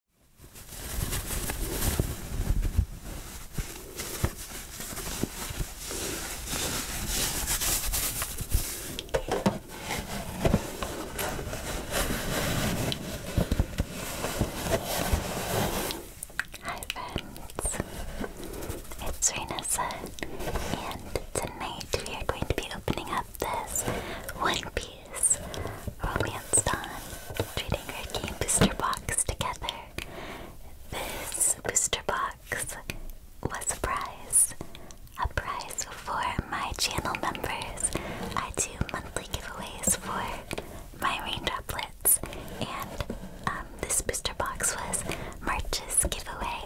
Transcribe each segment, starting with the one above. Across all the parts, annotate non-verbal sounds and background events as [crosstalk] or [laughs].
Hi friends, it's Renessa, and tonight we are going to be opening up this One Piece Louise. Orleans Dawn, treating her booster box together. This booster box was a prize. A prize for my channel members. I do monthly giveaways for my raindroplets, and um, this booster box was March's giveaway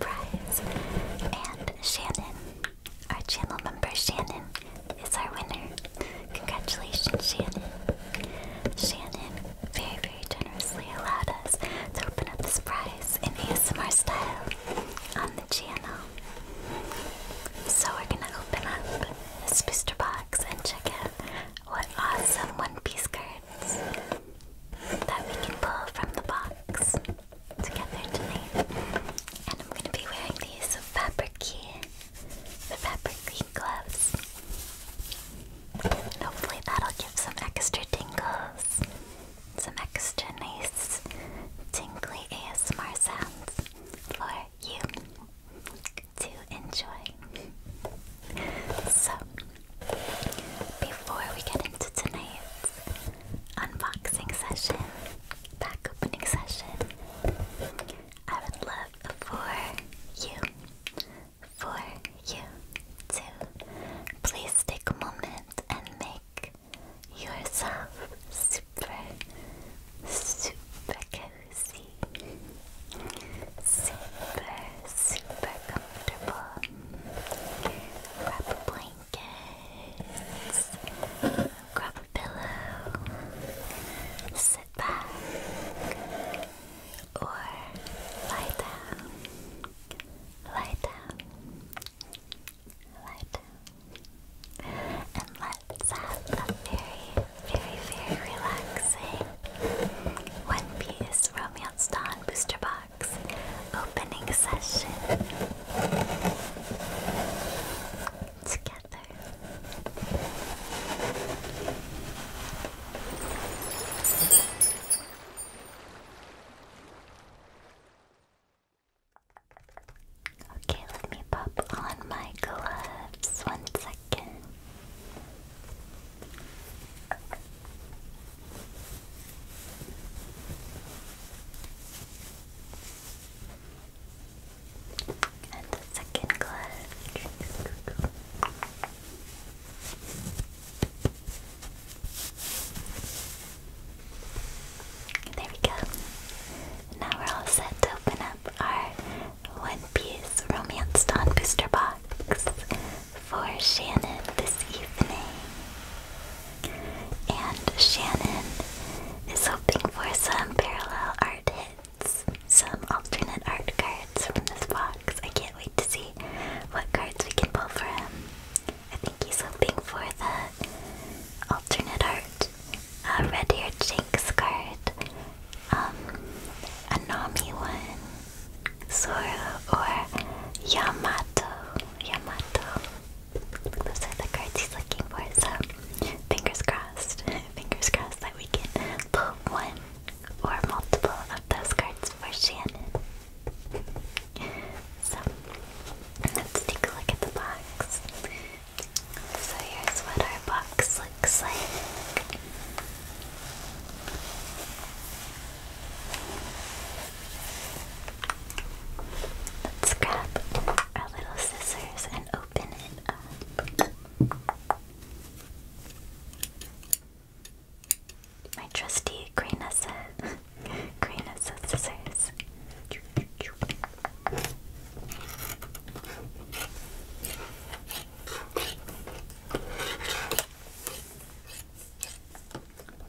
prize. And Shannon our channel member Shannon is our winner. Congratulations, Shannon. Shannon very, very generously allowed us to open up this prize in ASMR style on the channel. So we're gonna open up this booster box and check out what awesome One Piece cards that we can pull from the box together tonight. And I'm gonna be wearing these fabric key the pepper green gloves. Hopefully that'll give some extra tingles, some extra nice tingly ASMR sounds for you to enjoy. So, before we get into tonight's unboxing session, pack session, I would love for you, for you to please take a moment and make yourself super, super cozy, super, super comfortable. Grab blankets, grab pillow, sit back, or lie down, lie down, lie down, and let's have a very, very, very relaxing One Piece Romance Dawn Booster Box opening session. Together. Okay, let me pop on my gloves. One second. And the second clutch. There we go. Now we're all set to open up our One Piece Romance Dawn booster box for Shannon this evening. And Shannon is hoping for some parallel art hits. Some alternate art cards from this box. I can't wait to see what cards we can pull for him. I think he's hoping for the alternate art uh, red haired Jinx card, um, a Nami one, Zoro, or Yamato. Yamato. Those are the cards he's looking for, so fingers crossed. Fingers crossed that we can pull one or multiple of those cards for Shannon. So, let's take a look at the box. So, here's what our box looks like. Let's grab our little scissors and open it up. My trusty green says [laughs] green scissors. Do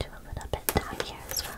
a little bit down here as well.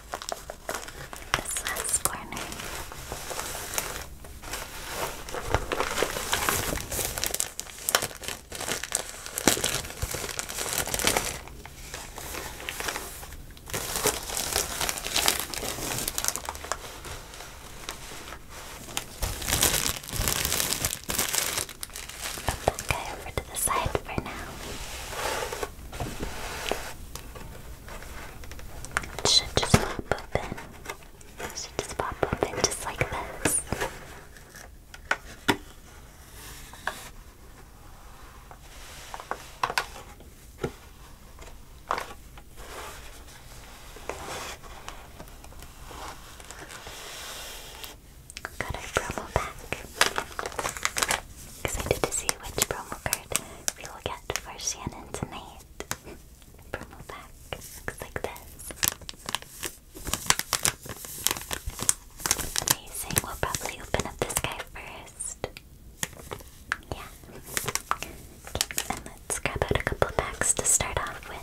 this last corner. over to the side for now. It should just pop open. should just pop open just like this. Got our promo pack. Excited to see which promo card we will get set for Shannon tonight. [laughs] Promo pack looks like this. Amazing. We'll probably open up this guy first. Yeah. and let's grab out a couple packs to start off with.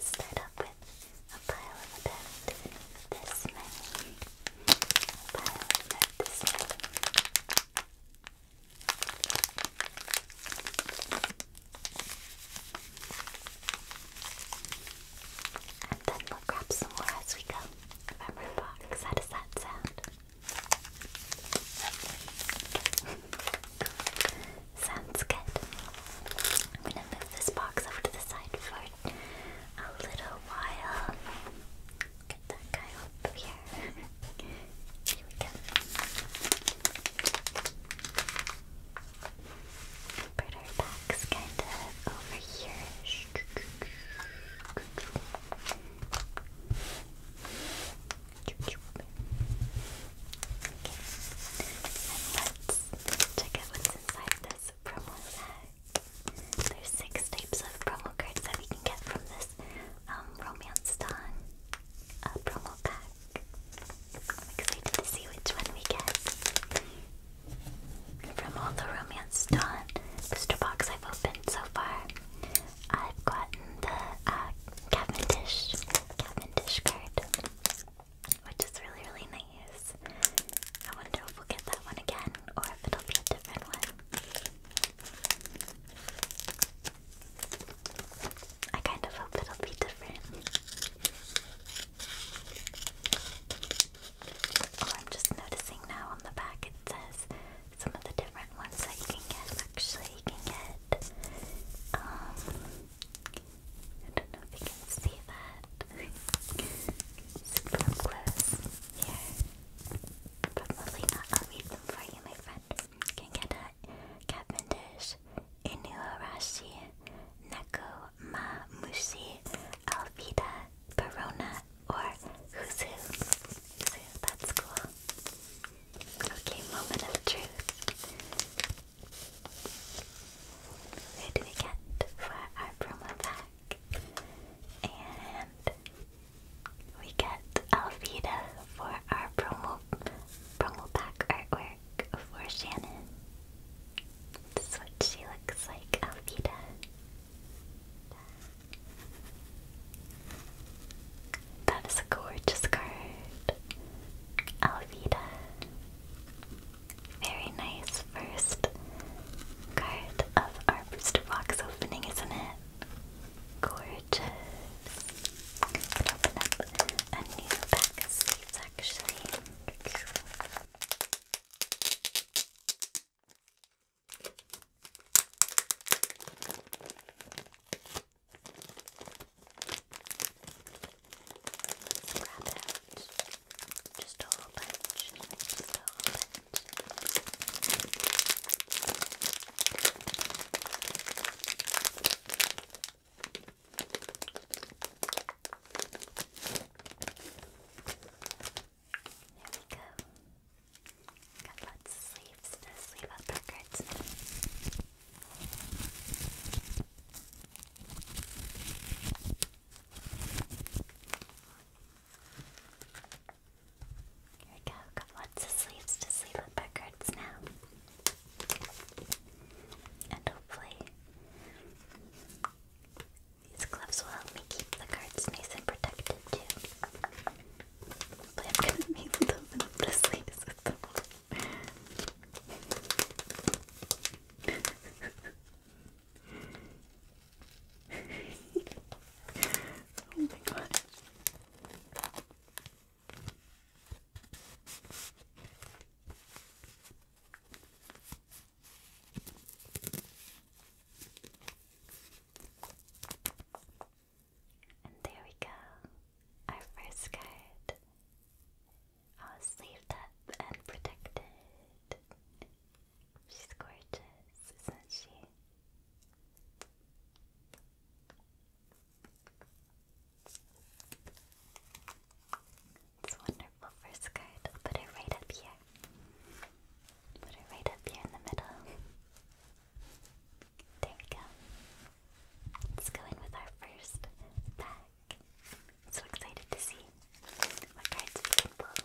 Start up with a pile of about this many, a pile of this many grab some more as we go from our box. How does that sound? [laughs] Sounds good. I'm gonna move this box over to the side for a little while. Get that guy up here. here we go. Put our backs kind of over here. And let's check out what's inside this promo set. There's six types of promo cards that we can get from this um, Romance Dawn uh, promo pack. I'm excited to see which one we get. From all the Romance Dawn booster box I've opened so far, I've gotten the uh, Cavendish, Cavendish card, which is really, really nice. I wonder if we'll get that one again or if it'll be a different one. I kind of hope it'll be different. Oh, I'm just noticing now on the back it says some of the different ones that you can get. Actually, you can get, um, I don't know if you can see that. Super close Probably not. I'll read them for you, my friend can get a Cavendish, Inuarashi, Neko, Mamushi, Alvida, Perona, or Huzu. Huzu, that's cool. Okay, moment of truth. Who do we get for our promo pack? And we get Alvida for our promo promo pack artwork for Shannon. This is what she looks like, Alvita. That is a gorgeous card. Alvita. Very nice first card of our booster box opening, isn't it? Gorgeous. open up a new pack of sleeves actually. grab it Just a whole bunch. Just a whole bunch we go. Got lots of sleeves to sleeve up our cards. All here we go, got lots of sleeves to sleeve up our now. And hopefully, these gloves will help me keep the cards nice and protected too. Hopefully I'm going to be able up the sleeves with [laughs] them. oh my god. And there we go, our first card. All sleeved up and protected. She's gorgeous, isn't she? This wonderful first card. I'll put it right up here. Put it right up here in the middle. There we go. Let's go in with our first pack. So excited to see what cards we can pull.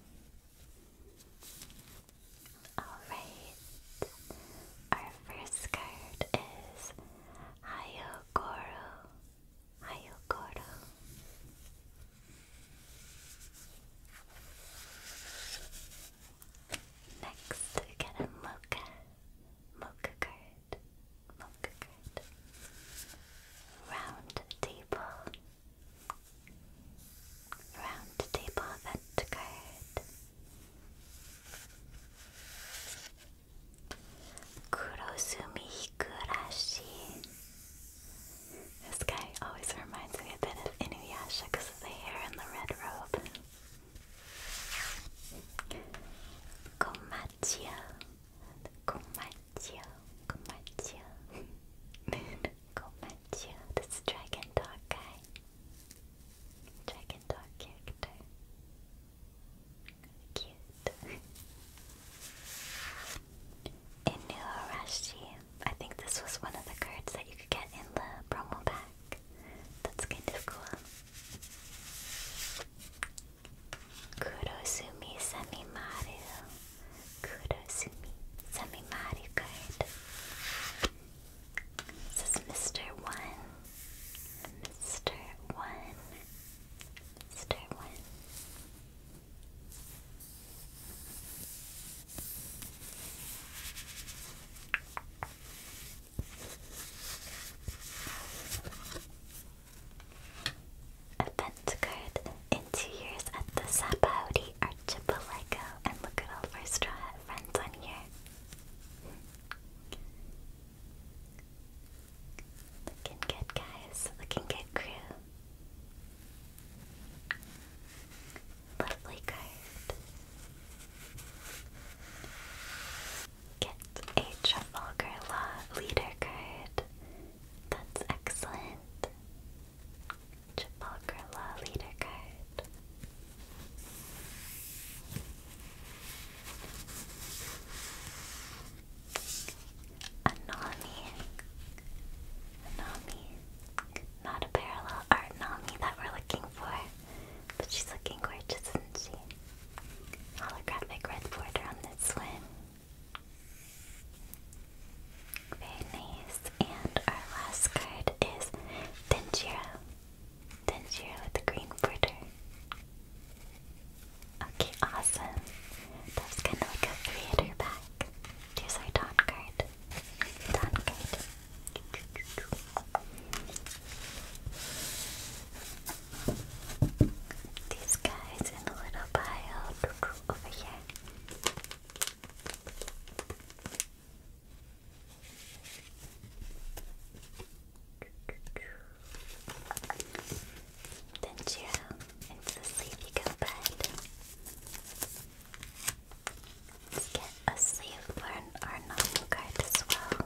Alright, our first card is Hayogoro. Hayogoro. Next, we get a mocha. Mocha card. Mocha card. Round table. Round table event card. Kurosumi Higurashi. This guy always reminds me a bit of Inuyasha because of the hair and the red robe. Komachiya. Komachiya. Komacho, Komacho, [laughs] Komacho, this dragon dog guy, dragon dog character, cute. Inuarashi, I think this was one of the cards that you could get in the promo pack. That's kind of cool. Kurosumi Semimaru. Kurosumi Samimari card. This is Mr. One. Mr. One. Mr. One event card in two years at the Sapaudi Archipelago. And look at all of our Straw Hat friends on here. Looking good, guys. Looking good, crew. Lovely card. Get a Trafalgar Law Leader card. That's excellent. Chapakrala leader card. Anami. Anami. Not a parallel art that we're looking for. But she's looking gorgeous, isn't she? Holographic red border on this one. And our last card is Tanjiro. Tanjiro with the green border. Okay, awesome. That's kind of like a theater back. Here's our Dawn card. Dawn card. These guys in a little pile over here did you? It's a sleepy go bed. Let's get a sleeve for our normal as well.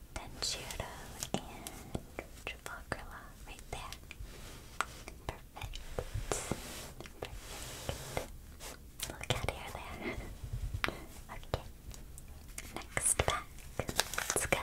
Tanjiro and Trafalgar right there. Perfect. Look at here there. [laughs] okay. Next pack. Let's go.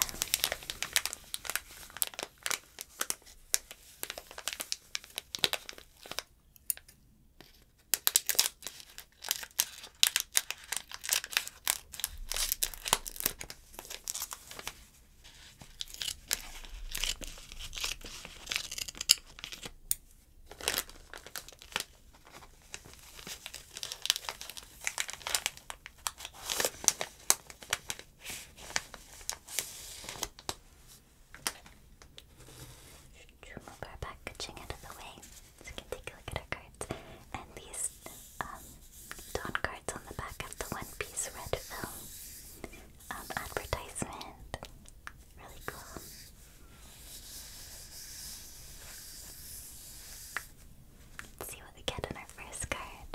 Should you our packaging out of the way? So you can take a look at our cards. And these um, Dawn cards on the back of the One Piece red film um, advertisement. Really cool. see what we get in our first card.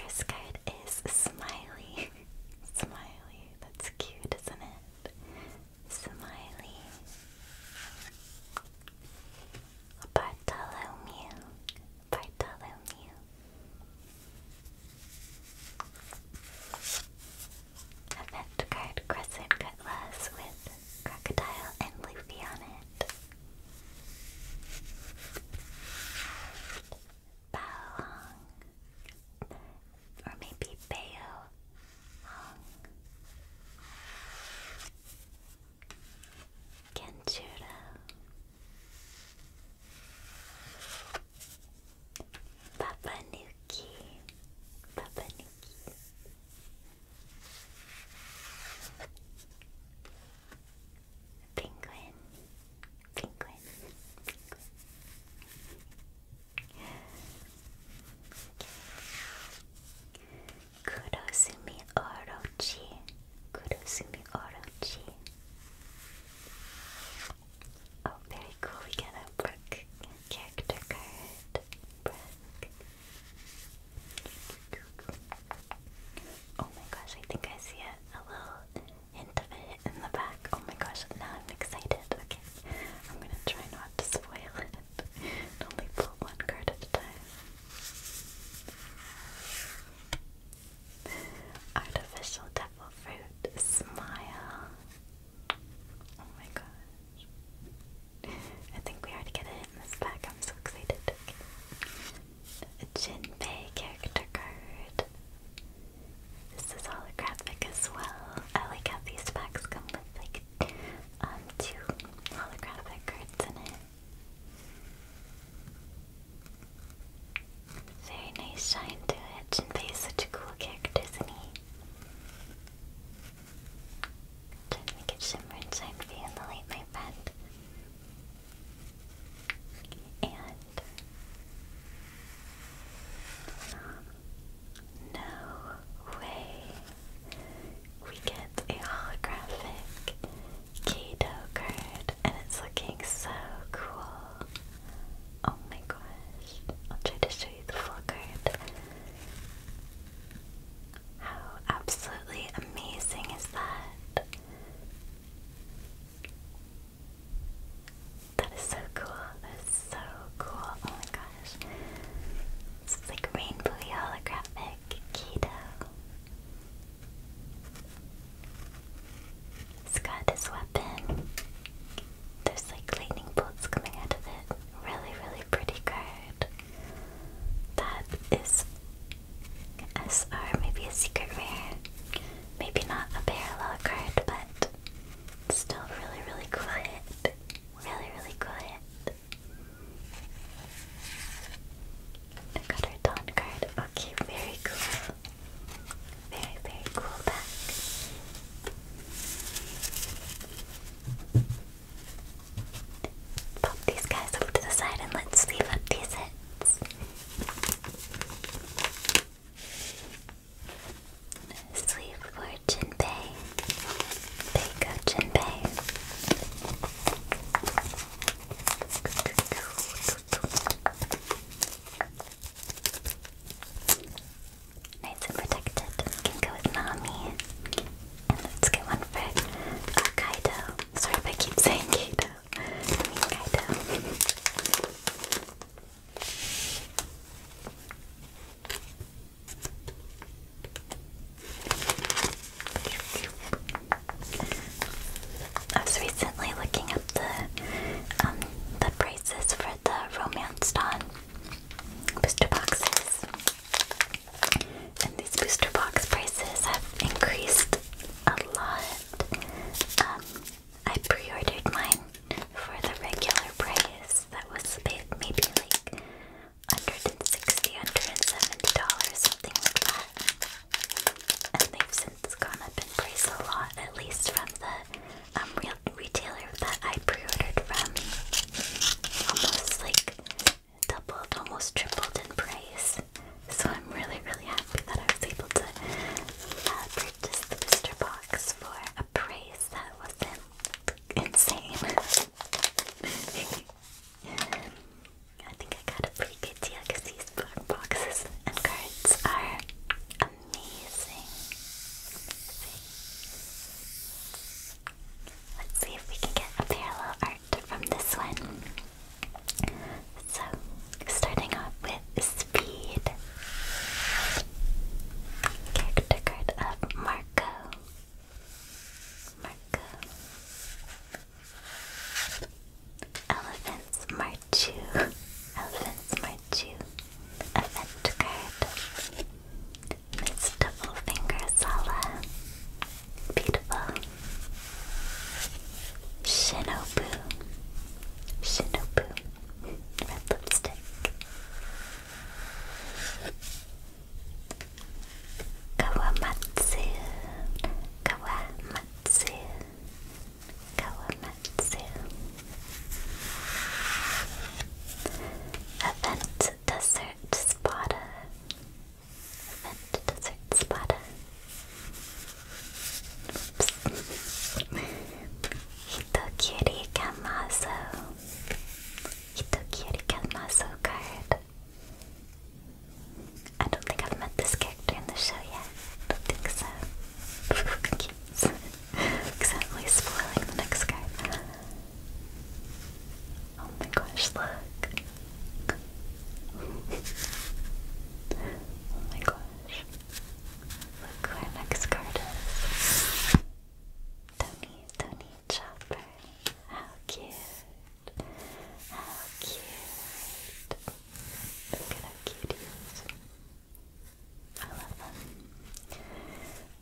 First card is Smiley. [laughs] Smiley. That's cute, isn't it? Smiley. Bartholomew. Bartholomew. Event card Crescent Cutlass with Crocodile and Luffy on it. Bao Hong. Or maybe Bao Hong. Kenshiro Papanuki Papanuki Penguin Penguin Penguin Kurosumi Orochi. Kurosumi Orochi. Oh, very cool. We got a Brook character card. Oh my gosh, I think I see a little hint of it in the back. Oh my gosh, now I'm excited. Okay, I'm gonna try not to spoil it. [laughs] Only pull one card at a time. Artificial devil fruit smile. Oh my gosh. I think we already get a hit in this pack. I'm so excited. Okay. Jinbei character card. This is holographic as well. I like how these packs come with like um two holographic cards in it. Very nice shine to it. Jinbei is such a cool character, isn't he? Try to make it shimmer and shine in the light, my friend. And um, no way we get a holographic Kato card, and it's looking so cool. Oh my gosh. I'll try to show you the full card. How absolutely amazing is that? That is so cool. That is so cool. Oh my gosh. It's like rainbowy holographic like keto. It's got this weapon. There's like lightning bolts coming out of it. Really, really pretty card. That is SR, maybe a secret rare. Maybe not a parallel card, but still really, really quiet. Really, really quiet. I got her Dawn Okay, very cool. Very, very cool pack. Pop these guys over to the side and let's leave up these hits. Sleeve for Jinbei. There go, Jinbei. Nice and protected. We can go with Nami. let's get one for uh, Kaido. Sorry if I keep saying Kaido. I Kaido. I was recently looking up the um the prices for the Romance Dawn booster boxes, and these booster box prices have increased a lot. Um, I pre-ordered mine for the regular price that was maybe like 160 170 dollars something like that and they've since gone up in price a lot at least from the um, real retailer that I pre-ordered from almost like doubled almost tripled in price so I'm really really happy that I was able to uh, purchase the booster box for a price that wasn't insane [laughs] Um, I think I got a pretty good deal because these boxes and cards are amazing. Let's see if we can get a parallel art from this one. So, starting off with Speed. Character card of Marco. Marco. Elephants march Marchu. Elephants Marchu. Event card. Miss Doublefinger Sala. Beautiful. Shinobu. Shinobu. Red lipstick. Kawamatsu, Kawamatsu, Kawamatsu. Event Desert Spada, Event Desert Spada. Oops. Hitokiri Kamazo. Hitokiri Kamazo I don't think I've met this character in the show yet. I don't think so. [laughs] Oh my gosh, look. oh my gosh. Look who our next card is. Tony, Tony Chopper. How cute. How cute. Look at how cute he is. I love him.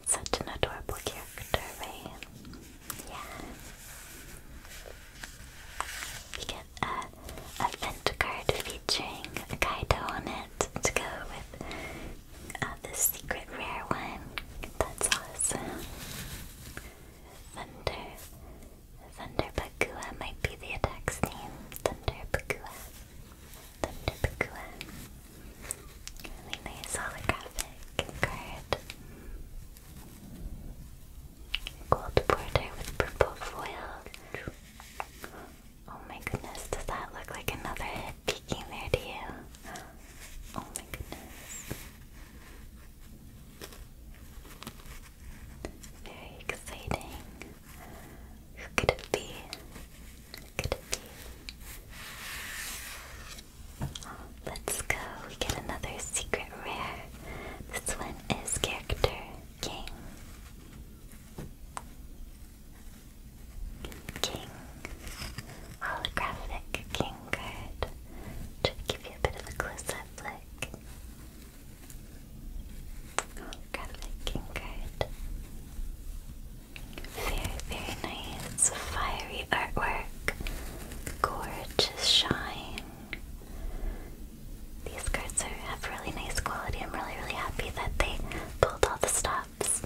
Such an adorable character, right? Yeah. You get a, a vent card featuring Kaido on it to go with uh, the secret rare one. That's awesome. Thunder, Thunder Pakua might be the attack's name. Thunder Pakua. Really nice holographic card. Gold border with purple foil. Oh my goodness, does that look like another head peeking there to you? Oh my goodness. Very exciting. Who could it be? could it be? Let's go. We get another secret rare. This one is character king. King. Holographic king card. to give you a bit of a close-up look looking good. Very, very nice. Fiery artwork. Gorgeous shine. These cards are, have really nice quality. I'm really, really happy that they pulled all the stops.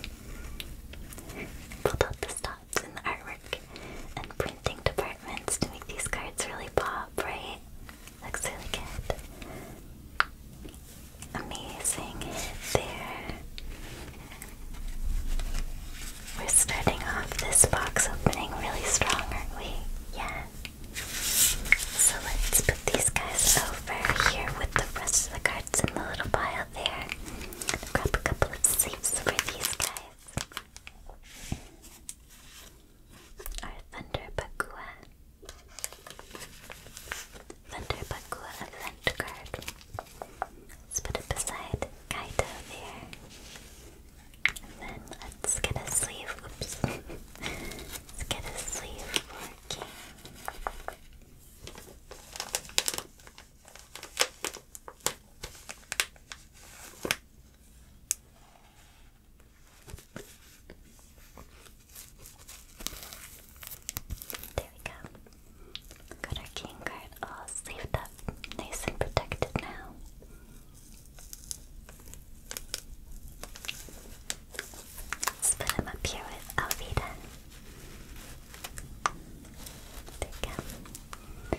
Pulled out the stops in the artwork and printing departments to make these cards really pop, right? Looks really good. Amazing there. We're starting off this box opening really strong, aren't we? Yeah. So let's put these guys over here with the rest of the cards in the little pile there. Grab a couple of sleeves for these guys are Thunder Pakua. Thunder Pakua event card. Let's put it beside Kaito there. And then let's get a sleeve. Oops. [laughs] let's get a sleeve for King. There we go. Got our king card all sleeved up, nice and protected now. Let's put him up here with Alvida. There we go.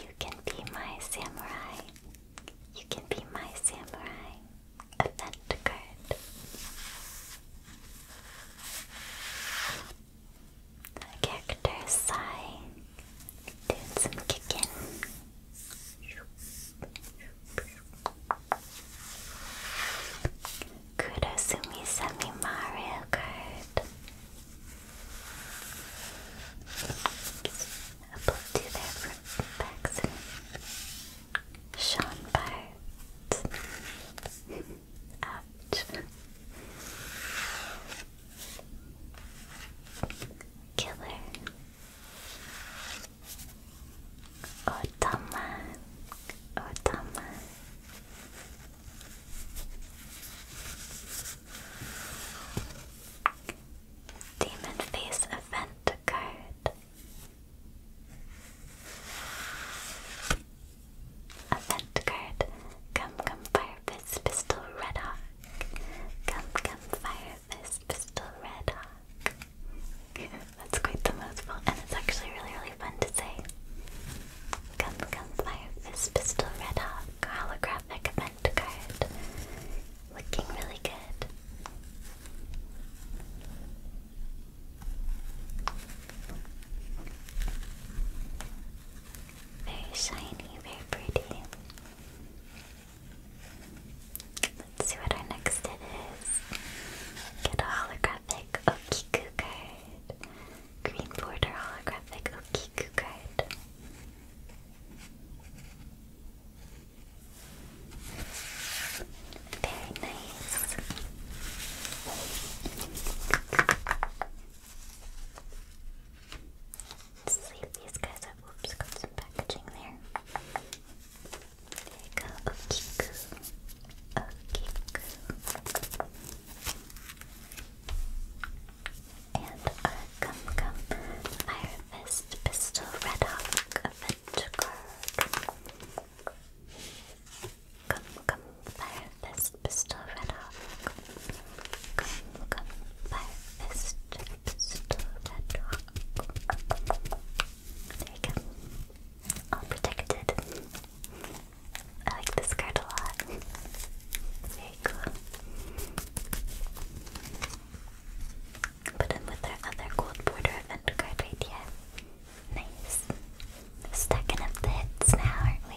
You can be my samurai. You can be my samurai. Event card. Character sigh. Doing some kicking. Kurosumi Semi Mario card. Apple to their fruit Paxson. Sean Bart. Ouch. Killer. Otama. Otama. Demon Face event card. Event card. Come, come, fire fist, pistol, red hawk. Come, come, fire fist, pistol, red hawk. [laughs] That's quite the mouthful, and it's actually really, really fun to say. Come, come, fire fist, pistol, red hawk. Holographic art Looking really good. Very shiny, very pretty. Let's see what our next hit is. Get a holographic Okiku card. Green border holographic Okiku card. Very nice. let these guys Oops, got some packaging there. There you and a Gum Gum Fire Fist Pistol Red Hawk event card. Gum Gum Fire Fist Pistol Red Hawk. Gum Gum Fire Fist Pistol Red Hawk. There you go. All protected. I like this card a lot. Very cool. Put in with our other gold border event right here. Nice. Stacking up the hits now, aren't we?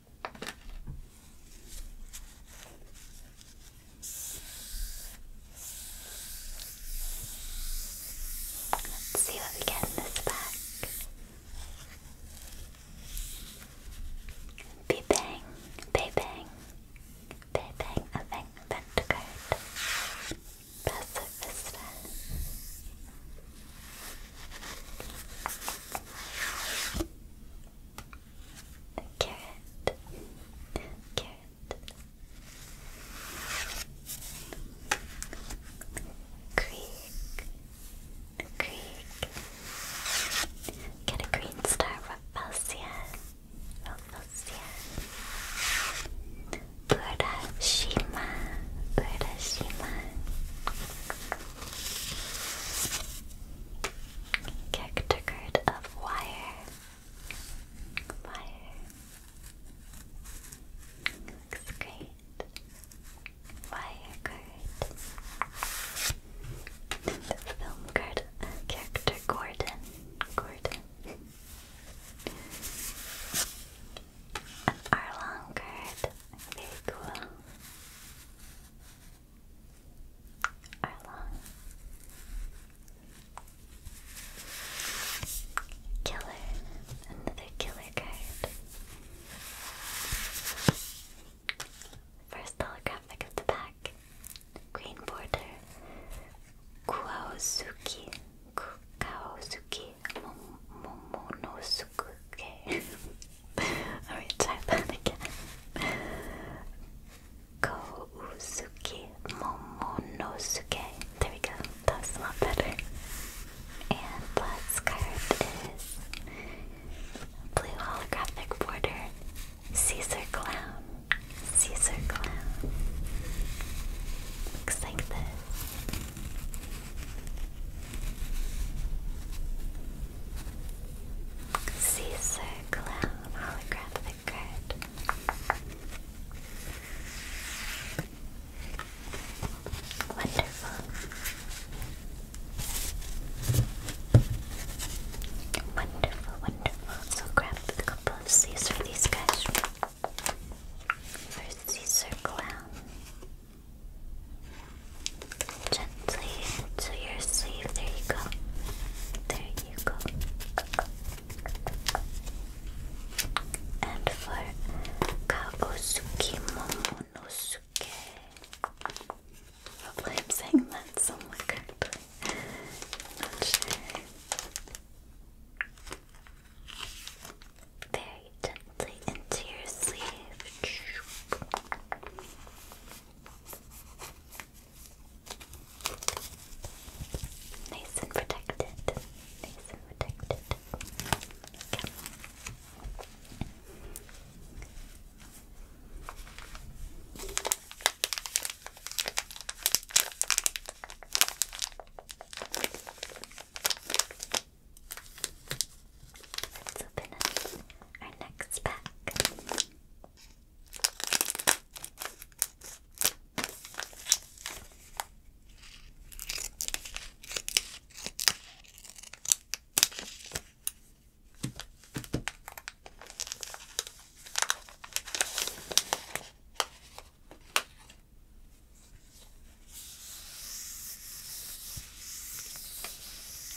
Let's see what we get in this bag. Be bang, bay bang, bay bang, a bang, pentacard, passive the carrot, carrot, creek, Get a green star, Rafflesia, Rafflesia. Urashima, uh, Urashima. Uh, Character card of wire. Wire. Looks great. Wire card. Film card. character Gordon. Gordon. An Arlong card. Very cool. Arla. Killer. Another killer card. First holographic of the pack. Green border. Kuaosuki. Kuaosuki. Momonosuke. Sukuke. Alright, try that again. Kousuki Momonosuke. There we go. That's a lot better. And last card is Blue Holographic Border. Caesar Clown. Caesar Clown. Looks like this. Caesar Clown holographic card. Wonderful. Wonderful, wonderful. So grab a couple of Caesar, these guys. First Caesar Clown. Gently into your sleeve. There you go. There you go. And for Kaosuke Momonosuke. Hopefully I'm saying that somewhat correctly. Not sure. Very gently into your sleeve. Nice protected. Nice protected. Let's open up our next pack.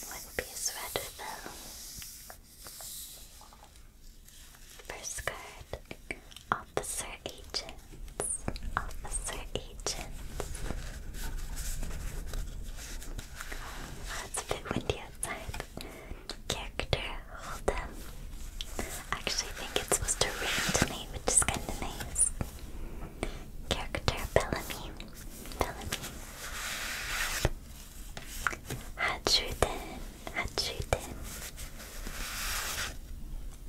One piece rather though. First card, Officer Agents. Officer Agents. Oh, it's a windy outside. Character, hold Actually, I think it's supposed to rain tonight, which is kind of nice. Character, Bellamy. Bellamy. Hadruden, Hadruden.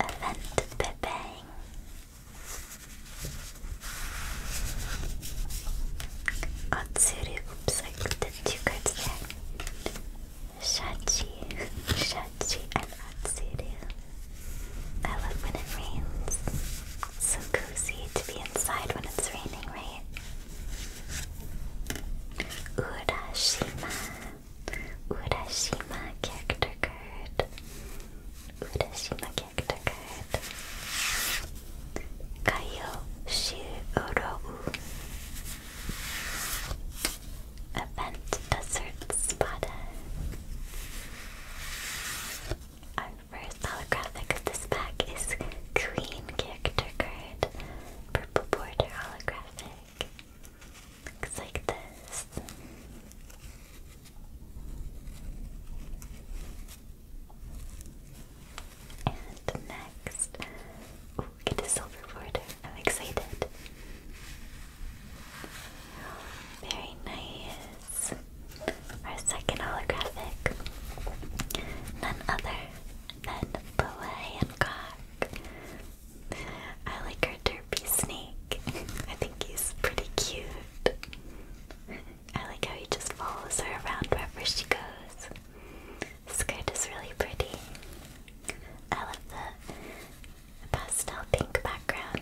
Event Bebang. Otsuru, oops, I looked at two cards I love when it rains. So cozy to be inside when it's raining, right? Urashima. Urashima character card. Urashima character card. Kayo Shirobu. Event Desert Spada. I'm Reverse holographic. This pack is Queen character card. Purple border holographic. Looks like this. And next, get a silver border. I'm excited. Very nice. Our second holographic, none other than Boa Hancock. I like her derpy snake. [laughs] I think he's pretty cute. I like how he just follows her around wherever she goes. The skirt is really pretty. I love the pastel pink background.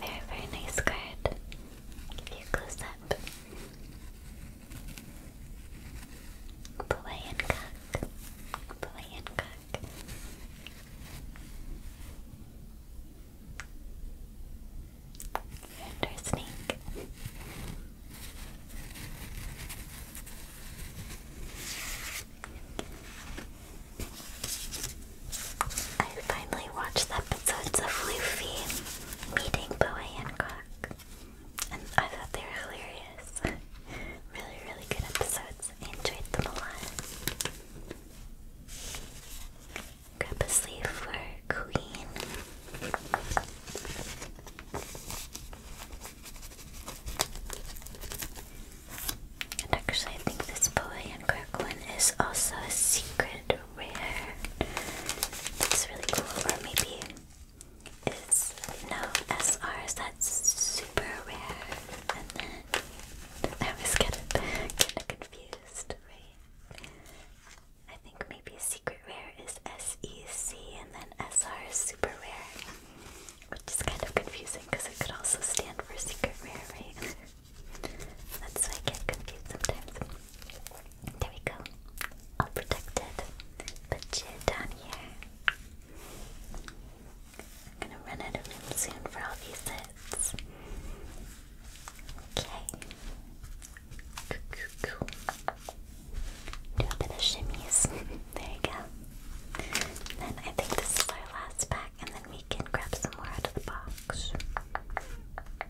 Very, very nice card. Give you close up. Boy and cock. Boy and cock. And our snake. I finally watched the episodes of Luffy meeting and Hancock, and I thought they were hilarious. really, really good episodes. I enjoyed them a lot. Grab a sleeve for Queen. And actually, I think this Boa Hancock one is also a secret rare. It's really cool. Or maybe it's no SRs. That's super rare. And then I always get kind of [laughs] confused, right? I think maybe secret rare is SEC, and then S R is super rare, which is kind of confusing because it could also stand for secret rare, right? That's why I get confused sometimes. There we go. All protected. Put you down here. I'm gonna run out of room soon for all these hits. Okay. Do a bit of shimmies. [laughs] there you go. And then I think this is our last pack, and then we can grab some more out of the box.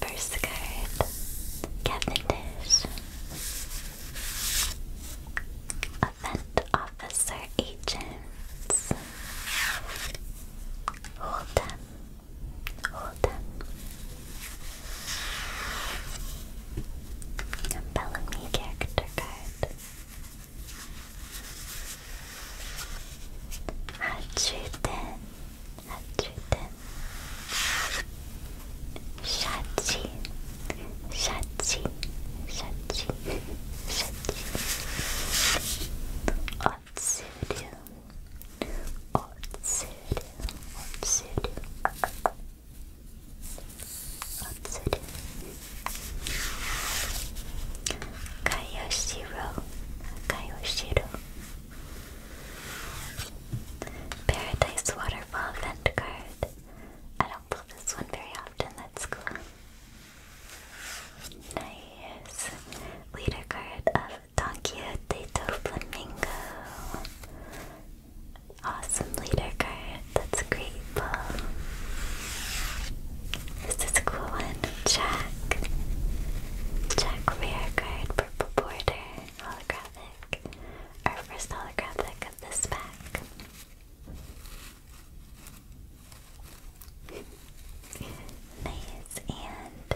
First card, Cavendish. Event Officer Agents. Hold them. Hold them. A Bellamy character card. Hatruten. Hatruten. Shachi. Shachi. Shachi. Shachi. Otsuru. Otsuru, Otsuru, Otsuru. Kayoshiro, Kayoshiro. Paradise Waterfall Vent Card. I don't pull this one very often, that's cool. Nice. Leader card of Don Quixote do Flamingo. Awesome leader card. That's great pull. This is a cool one. Jack. Jack rare card. Purple border. Holographic. Our first holographic of this pack. [laughs] nice and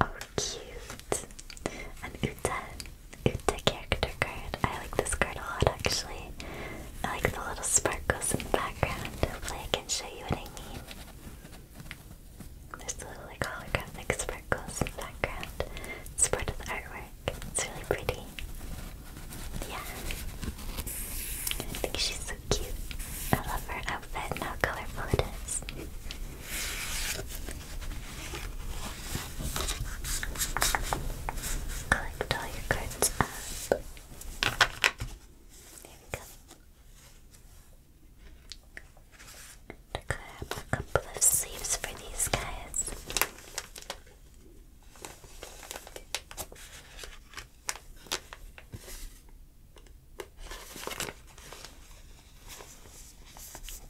Oh, cute. An Uta, Uta character card. I like this card a lot, actually. I like the little sparkles in the background. Hopefully I can show you what I mean. There's little like holographic sparkles in the background. It's of the artwork. It's really pretty. Yeah. I think she's so cute. I love her outfit and how colorful it is. Collect all your cards up. we go. To grab a couple of sleeves for these guys.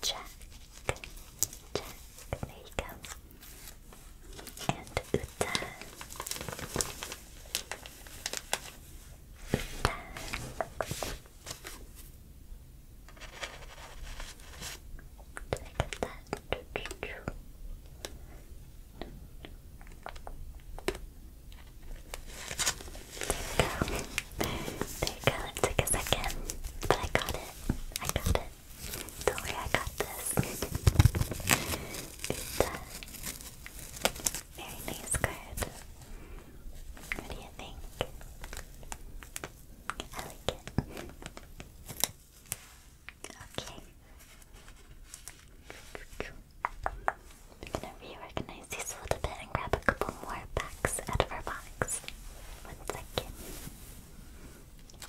Jack, Jack, there you go. And Uta. Uta. Look that go. There you go, it took a second, but I got it. I got it. Don't worry, I got this. Good. Very nice card. What do you think? I Okay. I'm gonna reorganize nice. He's a little bit and grab a couple more packs out of our box. One second.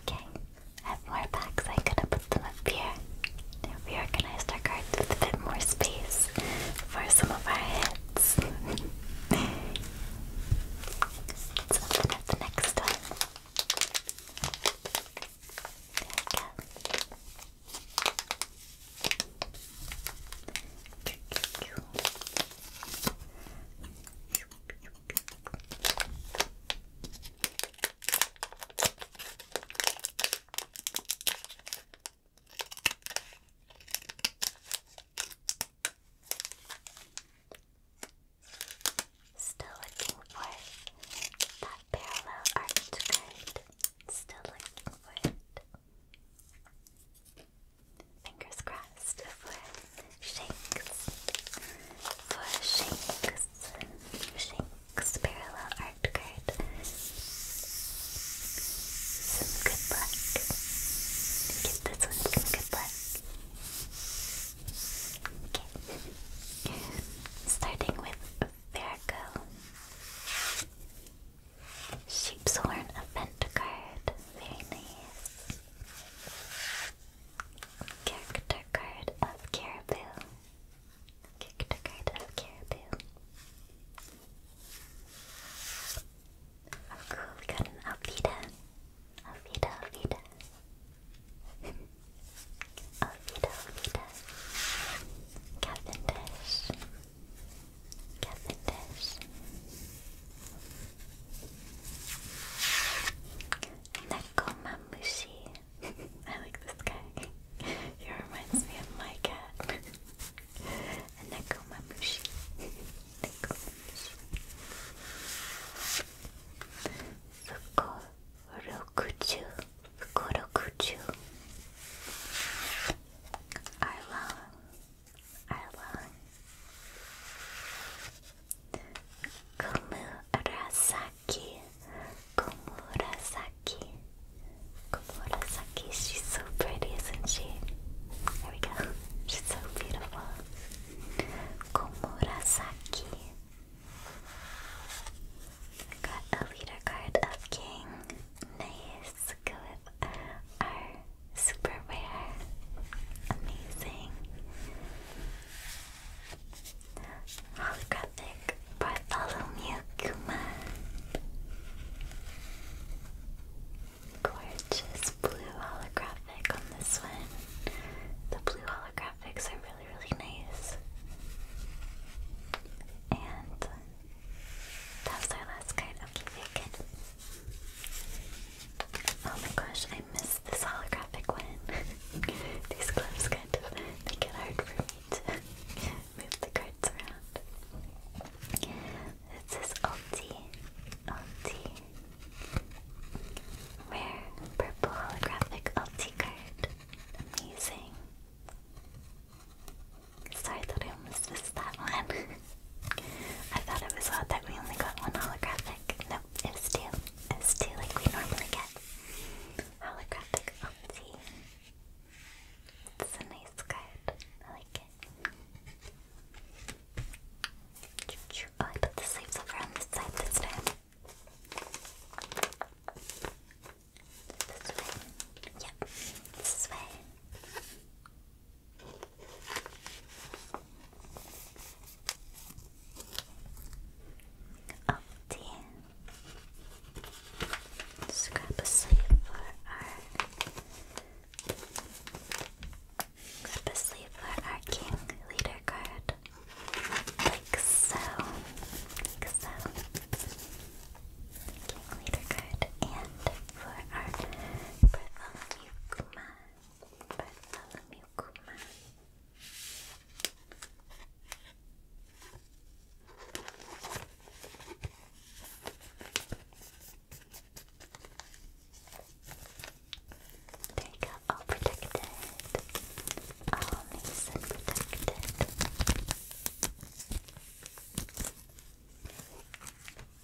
Okay, I have more packs. I could have put them up here. we organized our cards with a bit more space for some of our hits. [laughs] Let's open up the next one. There we go. Still looking for that parallel arched card. Still looking for it. Fingers crossed for Shanks. For Shanks. Shanks parallel art card. Some good luck. Give this one some good luck. Okay. Starting with Virgo. Sheep's Horn event card. Very nice. Character card of Caribou. Character card of Caribou. Oh cool, we got an Alfida. Alfida, Alfida. [laughs] Alfida, Alfida. Cavendish. Cavendish. Nekomamushi. [laughs] I like this guy. he reminds me of my cat. Nekomamushi. [laughs] Nekomamushi. Fukorokuchu. Fukorokuchu. I love are long. Komurasaki, Komurasaki, Komurasaki. She's so pretty, isn't she? There we go. She's so beautiful. Komurasaki. Got a leader card of King. Nice. Go with super rare. Amazing. Holographic Bartholomew Kuma. Gorgeous blue holographic on this one. The blue holographics are really, really nice. And that our last card. Okay, very Oh my gosh, I missed this holographic one. [laughs] These gloves kind of make it hard for me to [laughs] move the cards around. It says ulti, ulti. Rare purple holographic ulti card. Amazing. Sorry that I almost missed that one. [laughs] I thought it was odd that we only got one holographic. Nope, it's was two. It two like we normally get. Holographic Opti. It's a nice card. I like it. Oh, I put the sleeves over on this side this time. This way. Yep. This way. Oh dear. a sleeve for our grab a sleeve for our king leader card. Like so. Like so. King leader card and for our Bartholomew Kuma. Bartholomew Kuma. you all protected. All nice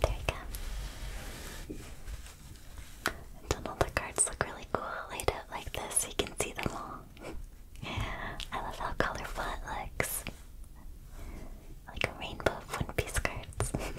There you go. And all the cards look really cool laid out like this, you can see them all. [laughs] I love how colorful it looks. Like a rainbow of One Piece cards. [laughs]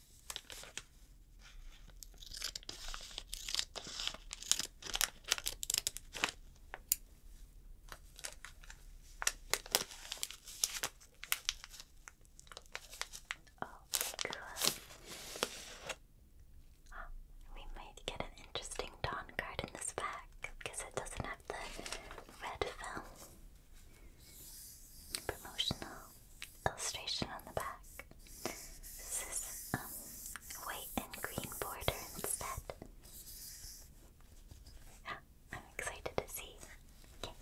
good. Oh, we might get an interesting Dawn card in this pack because it doesn't have the red film. Promotional illustration on the back. This is um, white and green border instead. Yeah, I'm excited to see. Okay.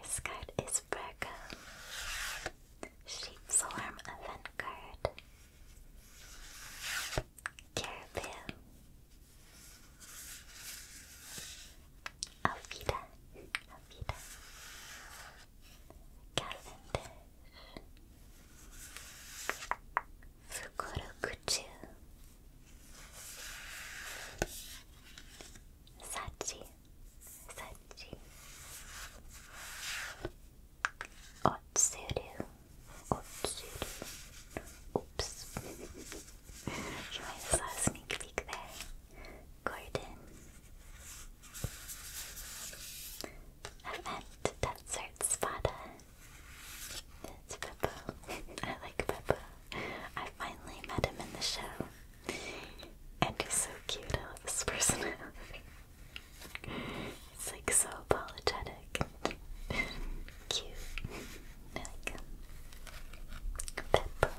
First card is Virgo. Sheep's Event Card. Caribou. Alfida. Alfida. Cavendish, Fukuro Kuchu, Sachi, Sachi, Otsuru, Otsuru, oops, trying to saw a sneak peek there. Gordon. Event Desert Spada. It's Beppo. [laughs] I like Beppo. I finally met him in the show. And he's so cute, I love his [laughs] He's like so apologetic. cute. like him. Beppo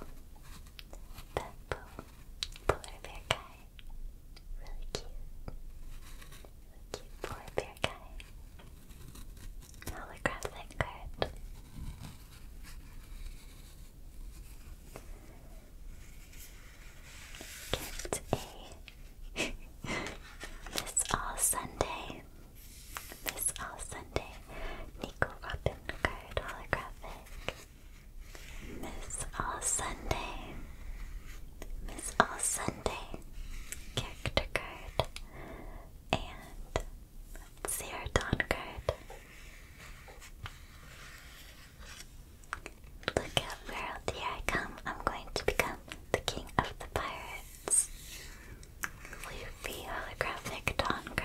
polar bear guy. Really cute. Really cute polar bear guy. Holographic card. Get a This [laughs] All Sunday. This All Sunday. Nico Robin card holographic. Miss All Sunday. Miss All Sunday. Character card. And Cerodon card. Look out, world! here I come. I'm going to become the king of the pirates. Floofy holographic Dawn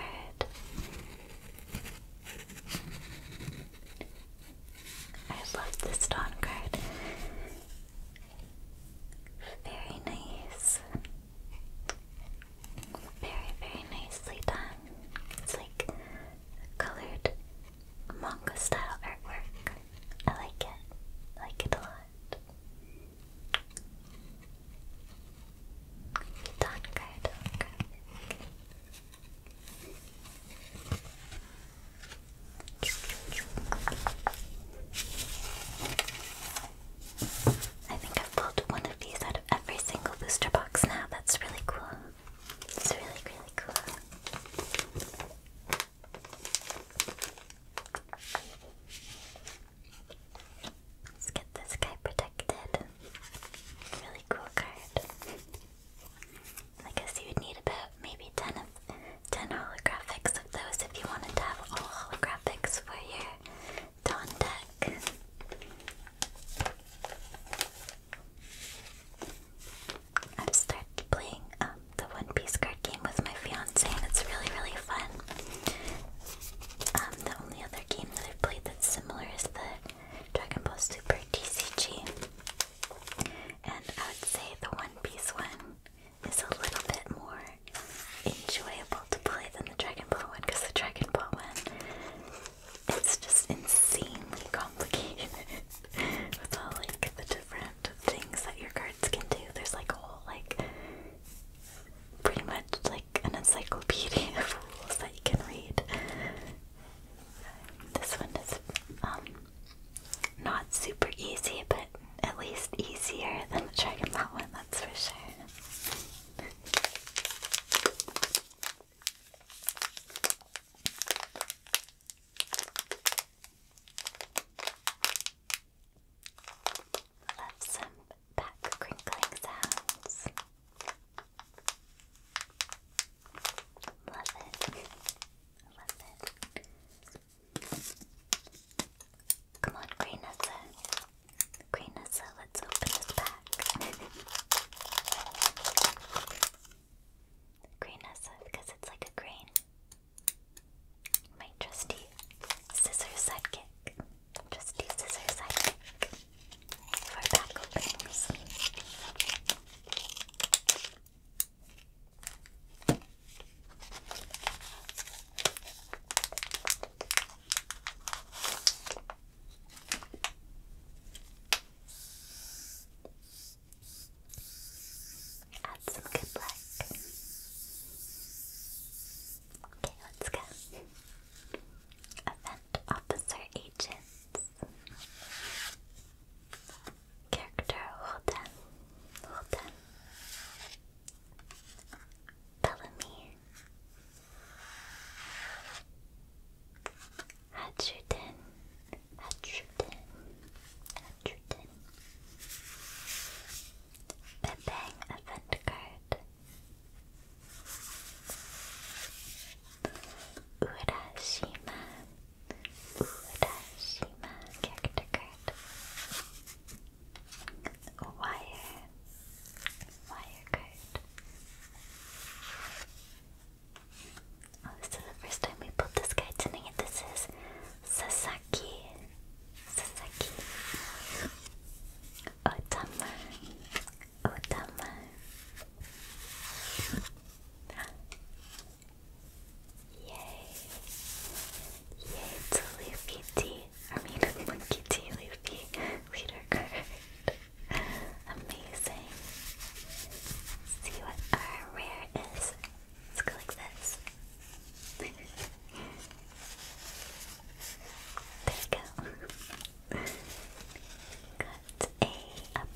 I love this Dawn card. Very nice. Very, very nicely done. It's like colored manga style artwork. I like it. like it a lot. Dawn card. I think I've pulled one of these out of every single booster box now. That's really cool. It's really, really cool. Let's get this guy protected. Really cool card. I guess you would need about maybe 10 holographics of those if you wanted to have all holographics for your Dawn deck. I've started playing um, the One Piece card game with my fiance and it's really really fun. Um, the only other game that I've played that's similar is the Dragon Ball Super TCG. And I would say the One Piece one is a little bit more enjoyable to play than the Dragon Ball one because the Dragon Ball one it's just insanely complicated [laughs] with all like the different things that your cards can do. There's like a whole like pretty much like an encyclopedia [laughs] of rules that you can read. This one is um, not super easy, but at least easier than the Dragon Ball one, that's for sure. Love some back crinkling sounds. Love it. Love it. Come on, Green Nessa. let's open this pack. Green because it's like a grain. My trusty scissors sidekick. Trusty scissor sidekick for back openings. Add some good luck. Okay, let's go. Event Officer Agents. Character, hold on, hold on. Bellamy. Hatcherton, Hatcherton, Hatcherton. event card. Urashima, Urashima character card, wire, wire card. Oh, this is the first time we pulled this guy tonight. This is Sasaki, Sasaki, Otama, Otama. Yay! Yay, it's a Luffy tea. I mean a monkey tea Luffy leader card. Amazing. See what our rare is. Let's go like this. there we go. Got a,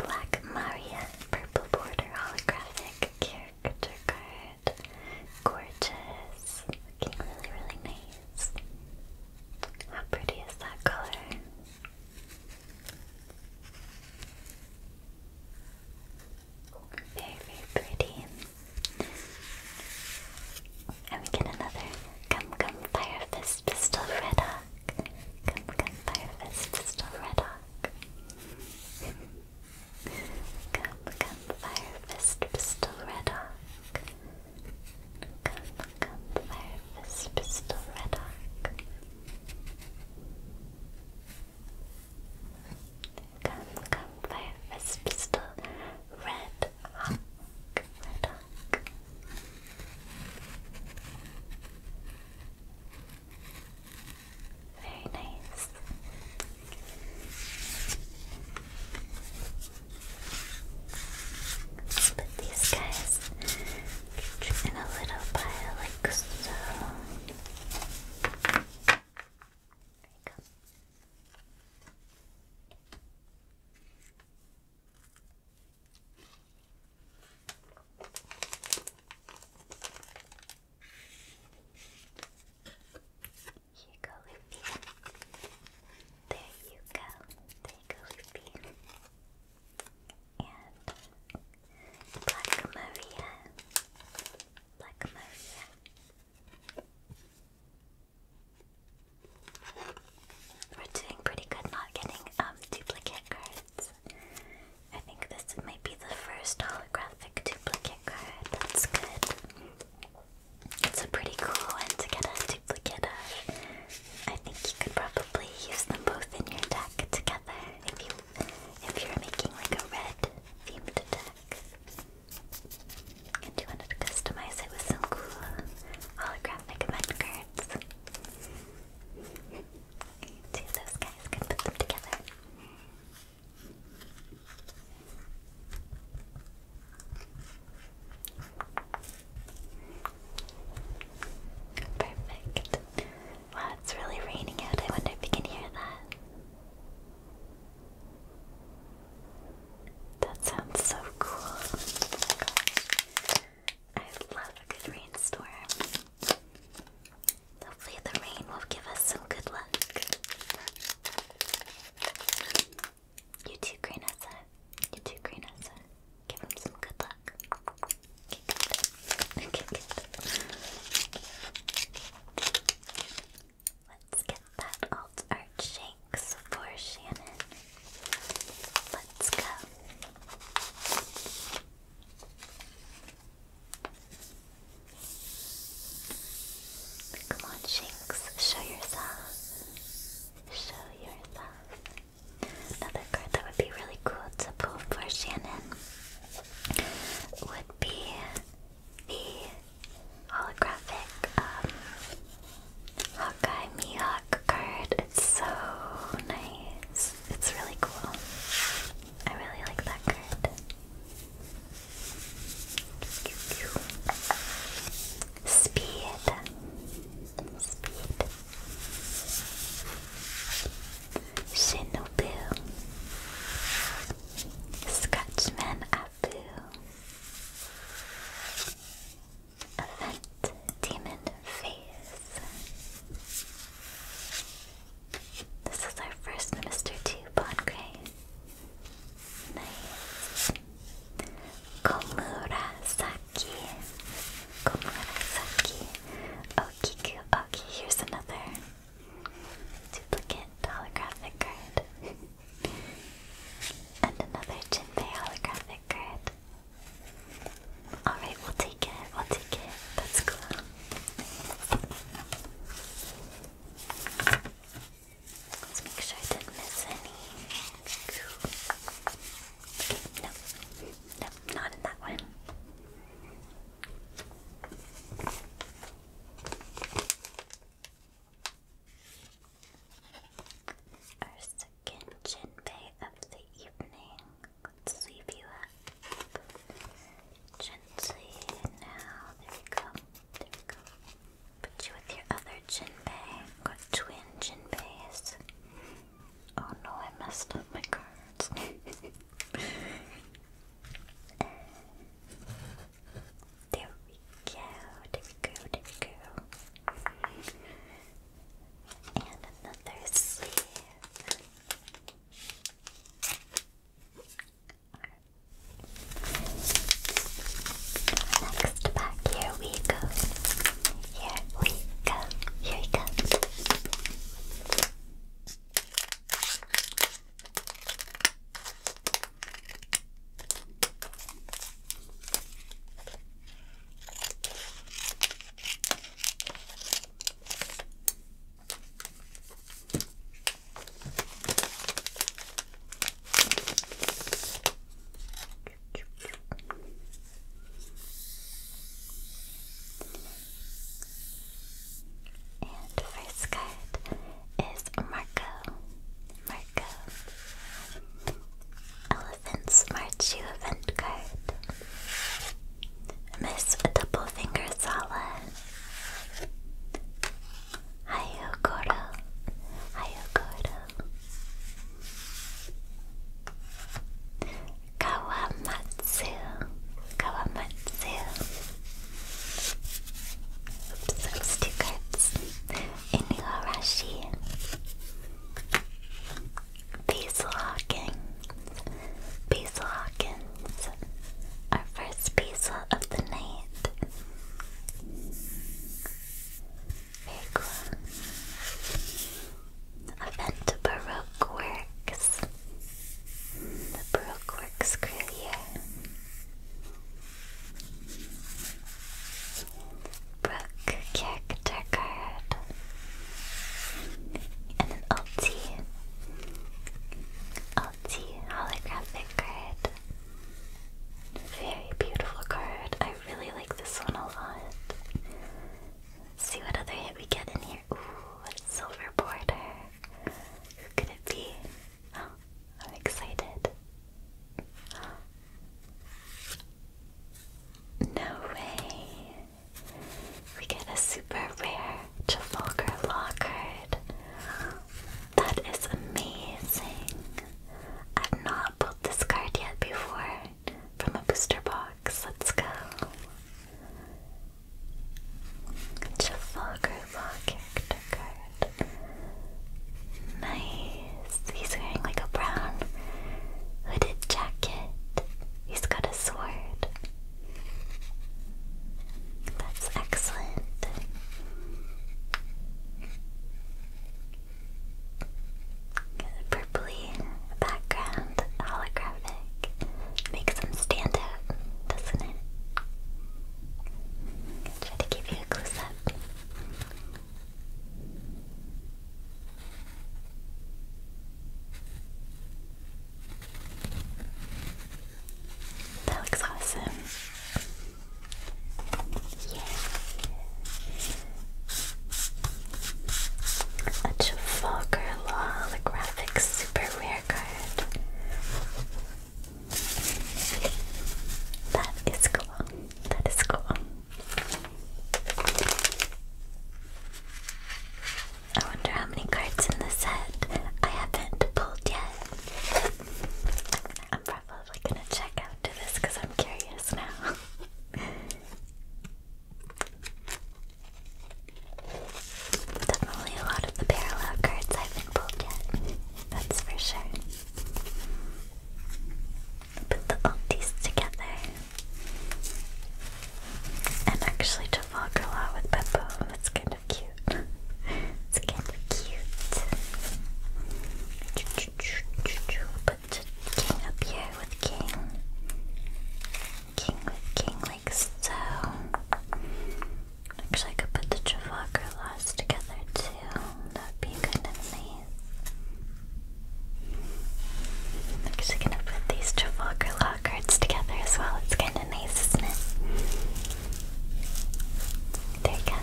black Maria purple border holographic character card. Gorgeous. Looking really, really nice. How pretty is that color? Very, very pretty. And we get another Gum Gum Fire Fist Pistol Red Hawk. Come, come, Firefist, Pistol Red Hawk. come, come, Firefist, Pistol Red Hawk. Come, come, Firefist, Pistol Red Hawk. Come, come, Firefist, Pistol Red Red Hawk. Very nice. put these guys in a little pile like so. There we go. There you go. There you go, Lippy. And Black Maria. Black Maria. We're doing pretty good not getting um duplicate cards. I think this might be the first holographic duplicate card. That's good. It's a pretty cool one to get a duplicate of. I think you could probably use them both in your deck together if you if you're making like a red themed deck. And you wanted to customize it with some cool holographic event cards. Two those guys can put them together. Perfect. Wow, it's really raining out. I wonder if you can hear that. That sounds so cool. Oh I love a good rainstorm. Hopefully, the rain will give us some good luck. You two Greenessa. You too, Greenessa. Give them some good luck. Let's get that alt art shanks for Shannon. Let's go. Come on, Shinx, show yourself. Show yourself. Another card that would be really cool to pull for Shannon would be the holographic um, Hawkeye Mihawk card. It's so nice. It's really cool. I really like that card. Speed. Speed. Shinobu. Scratchman Abu. Event Demon face. This is our first Mr. Two Gray. Nice. Komurasaki. Komurasaki. Okiku. Okay, here's another duplicate holographic card. [laughs] and another Jinbei holographic card. Alright, we'll take it. We'll take it. That's cool. Let's make sure I didn't miss any. Okay, no. No, not in that one. Our second Jinbei of the evening. Let's leave you up gently. Now, there we go. There we go. Put you with your other jinbei. i got twin jinbeis. Oh no, I messed up my cards. [laughs] there we go. There we go. There we go. And another sleeve. Next pack, here we go. Here we go. Here we go. And first card is Marco. Marco. Elephants March You event card. Miss Double Finger Sala. Hiyo Koro. Hiyo Koro. Kawamatsu. Kawamatsu. Oops, that two cards. Inuarashi. Basil Hawking. Basil our first Basil of the night. Very cool. Event Baroque Works. The Baroque Works crew here. character an LT. LT holographic card. Very beautiful card. I really like this one a lot. Let's see what other hit we get in here. Ooh, silver border. Who could it be? Oh, I'm excited. No way. We get a super rare Trafalgar Law card. That is amazing. I've not pulled this card yet before from a booster box. Let's go. Trafalgar Law card. Nice. He's wearing like a brown hooded jacket. He's got a sword. That's excellent. Purpley background, holographic, makes them stand out, doesn't it? try to give you a close up. That looks awesome. Yeah. A Trafalgar Law super rare card. That is cool. That is cool. I wonder how many cards in the set I haven't pulled yet. I'm probably gonna check out this because I'm curious now. [laughs] Definitely a lot of the parallel cards I haven't pulled yet. That's for sure. Put the ulties together and actually to vlog a lot with Peppo. That's kind of cute. [laughs] it's kind of cute. Put King up here with King. King with King like so. Actually I could put the Trafalgar laws together too. That'd be kind of nice. actually gonna put these Trafalgar cards together as well. It's kind kind There you go.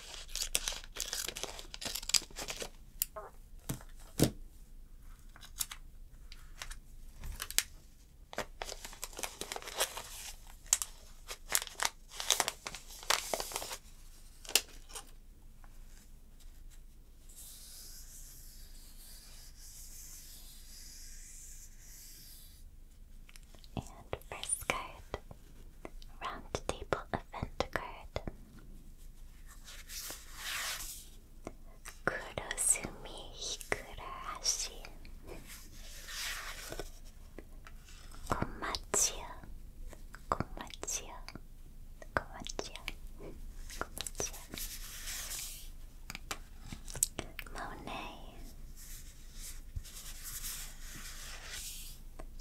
And first card Round Table Event Card Kurosumi Hikurahashi Komachiyo Komachiyo Komachiyo Komachiyo Monet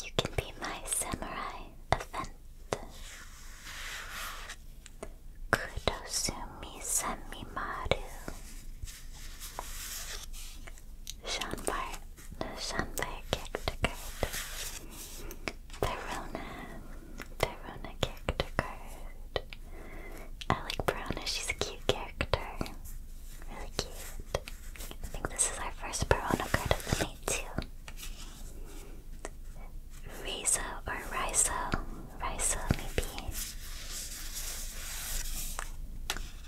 You can be my samurai event. Kudosumi Semimaru. Shanbar, no, Shanbar character card. Verona, Verona character I like Verona, she's a cute character. Really cute. I think this is our first Verona card of the night too. Riso or Riso, Riso maybe.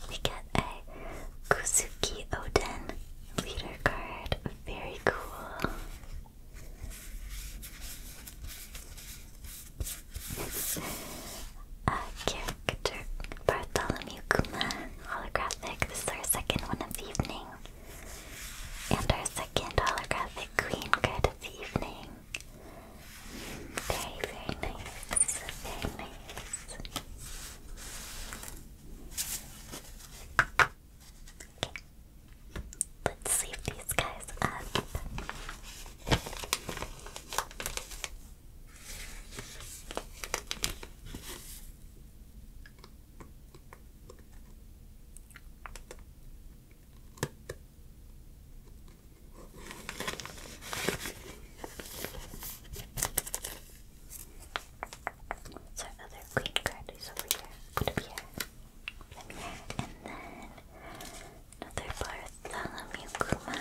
We get a Kuzuki Oden leader card. Very cool. [laughs] a character Bartholomew Kuma holographic. This is our second one of the evening. And our second holographic queen card evening. Very, nice. Very nice. Let's leave these guys up. So our other queen card over here. Put here. And then another Bartholomew Kuma.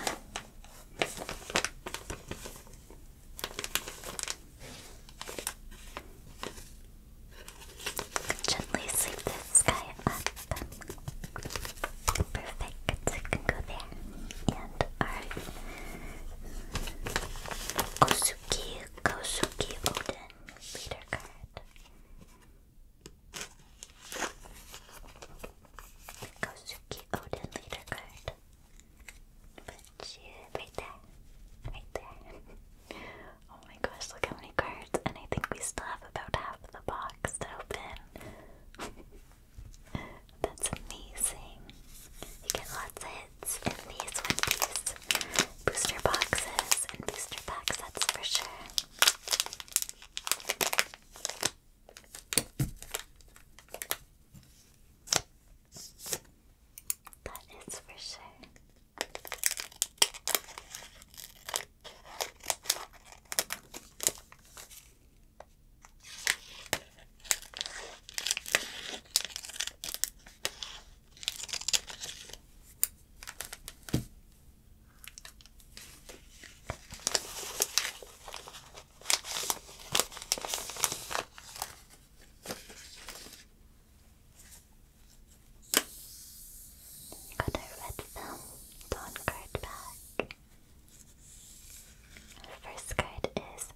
Gently sweep this guy up. Perfect. I can go there. And our Kosuki, Kosuki Odin leader card. Kosuki Odin leader card. Shoot, right there. Right there. [laughs] oh my gosh, look how many cards. And I think we still have about half of the box to open. [laughs] That's amazing. You get lots of hits in these with these booster boxes and booster packs, that's for sure. That is for sure. Got our red film dawn card back. first card is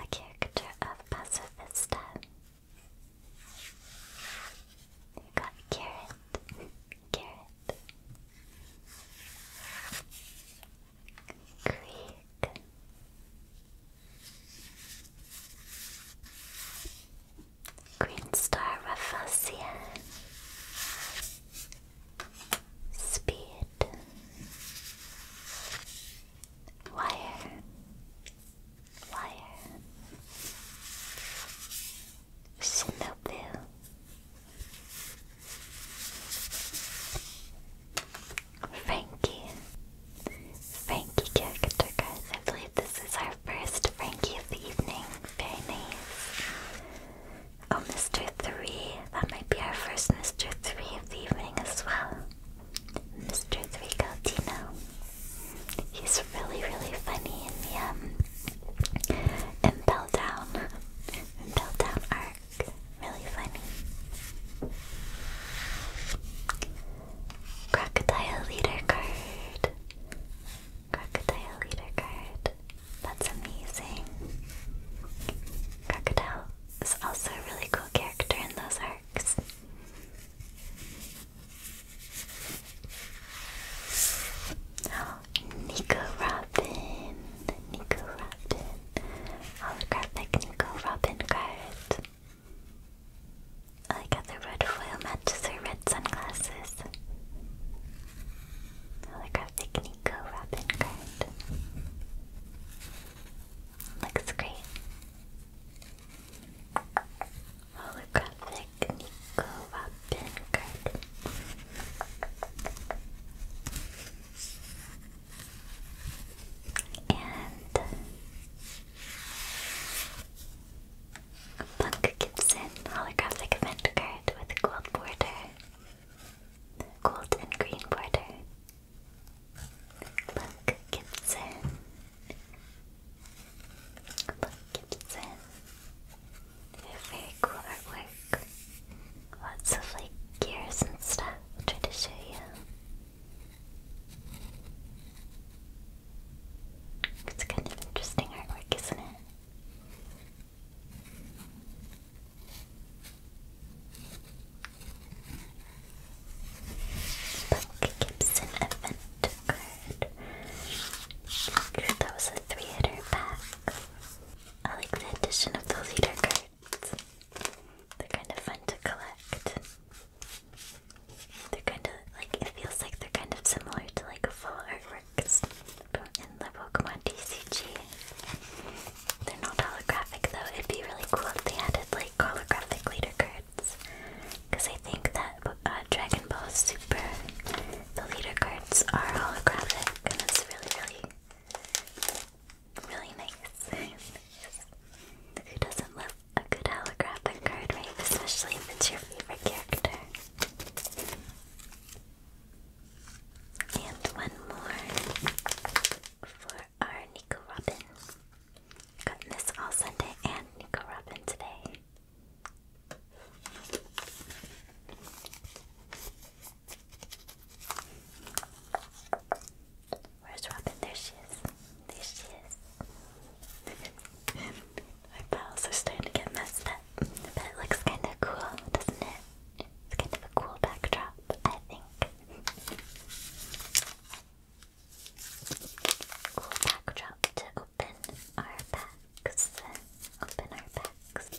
a character of Pacifista. You got Carrot. Carrot. Creek. Green Star Rafflesia Speed Wire Wire Shinobu Frankie. Frankie character guys. I believe this is our first Frankie of the evening. Very nice. Oh, Mr. 3. That might be our first Mr. 3 of the evening as well. Mr. 3 got now. He's really, really funny in the um Impel Down. Impel Down arc. Really funny. Crocodile leader card. Crocodile leader card. That's amazing. Crocodile is also a really cool character in those arcs. Oh, Nico Robin. Nico Robin. Holographic Nico Robin card. I got the red foil matches her red sunglasses. Holographic Nico Robin card. Looks great. Holographic Nico Robin card. And a Gibson holographic event card with gold border. Gold and green border. Buck Gibson. Buck Gibson. Very cool artwork. Lots of like gears and stuff. I'll try to show you. It's kind of interesting artwork, isn't it? Buck Gibson event card. That was a three-hitter pack. I like the addition of the leader cards. They're kind of fun to collect. They're kind of like it feels like they're kind of similar to like full artworks in the Pokemon TCG. They're not holographic though. It'd be really cool if they added like holographic leader cards, because I think that uh, Dragon Ball Super the leader cards are holographic, and it's really, really, really nice. Who doesn't love a good holographic card, right? Especially if it's your favorite character. And one more for our Nico Robin. Got this all Sunday and Nico Robin today. Where's Robin? There she is. There she is. [laughs] My pals are starting to get messed up. But it looks kind of cool, doesn't it? It's kind of a cool backdrop, I think. Cool backdrop to open our packs. Open our packs.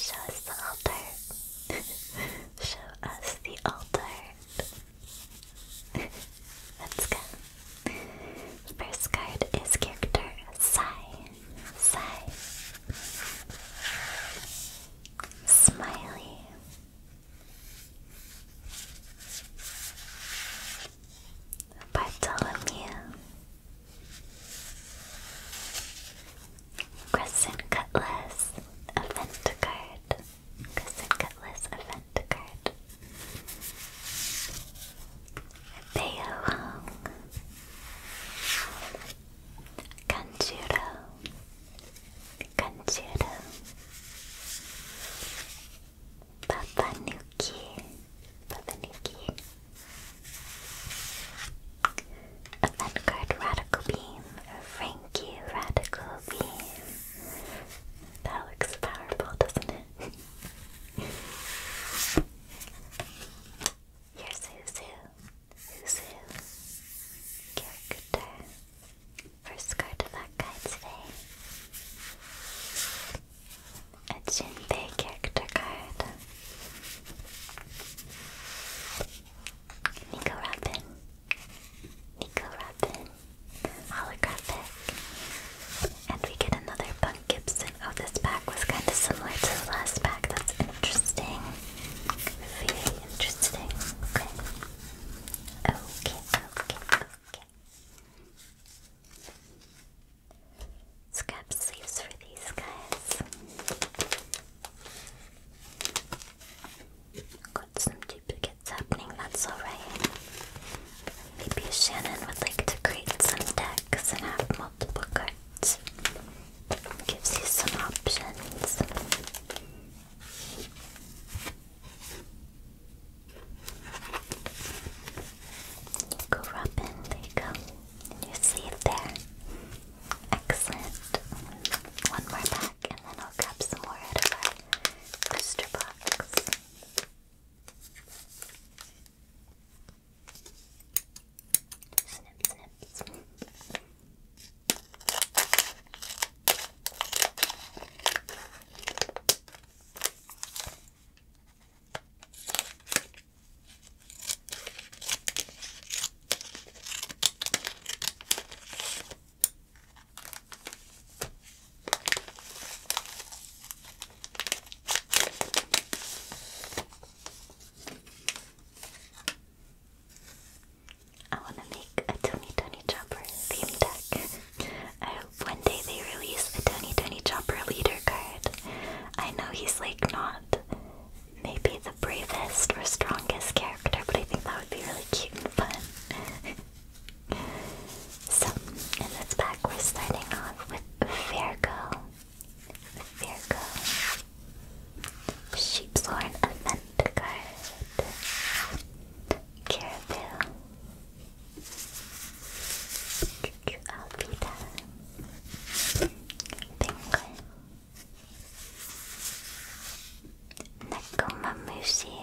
Show us the altar. [laughs] Show us the altar. [laughs] Let's go. First card is character Sai. Sai. Smiley. Bartholomew Crescent Cutlass Event Crescent Cutlass Event Card Theo Hong Papa Papanuki. Event card Radical Beam. Frankie Radical Beam. That looks powerful, doesn't it? Here's Huzu. Huzu. Character. First card of our guide today. A Jinbei character card. Nico Robin. Nico Robin. Holographic. And we get another Bunk Gibson. Oh, this pack was kind of similar to the last pack. That's interesting. Very interesting. Okay. Okay, okay, okay let sleeves for these guys. Got some duplicates happening, that's alright. Maybe Shannon would like to create some decks and have multiple cards. Gives you some options. Go rub in, there you go. In your sleeve there. Excellent. One more back and then I'll grab some more out of our booster box. Snip, snip, snip. I want to make a Tony Tony Chopper theme deck. I uh, hope one day they release a Tony Tony Chopper leader card. I know he's like not maybe the bravest or strongest character, but I think that would be really cute and fun. [laughs] so, in this pack, we're starting off with Virgo. Virgo. Sheep's Horn Event Card. Caribou. Cuckoo Alpita Penguin Nakomamushi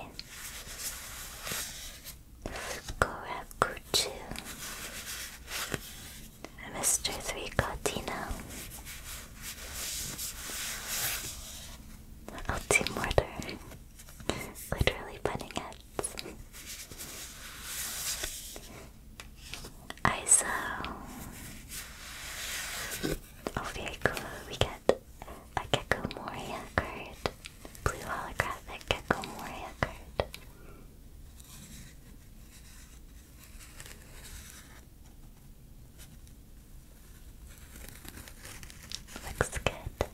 Gorakuchu Mr. Three Cotino Ultimortar Literally bunning heads. ISO. Oh, very cool. We get a Gecko Moria card. Blue holographic Gecko Moria card. Looks good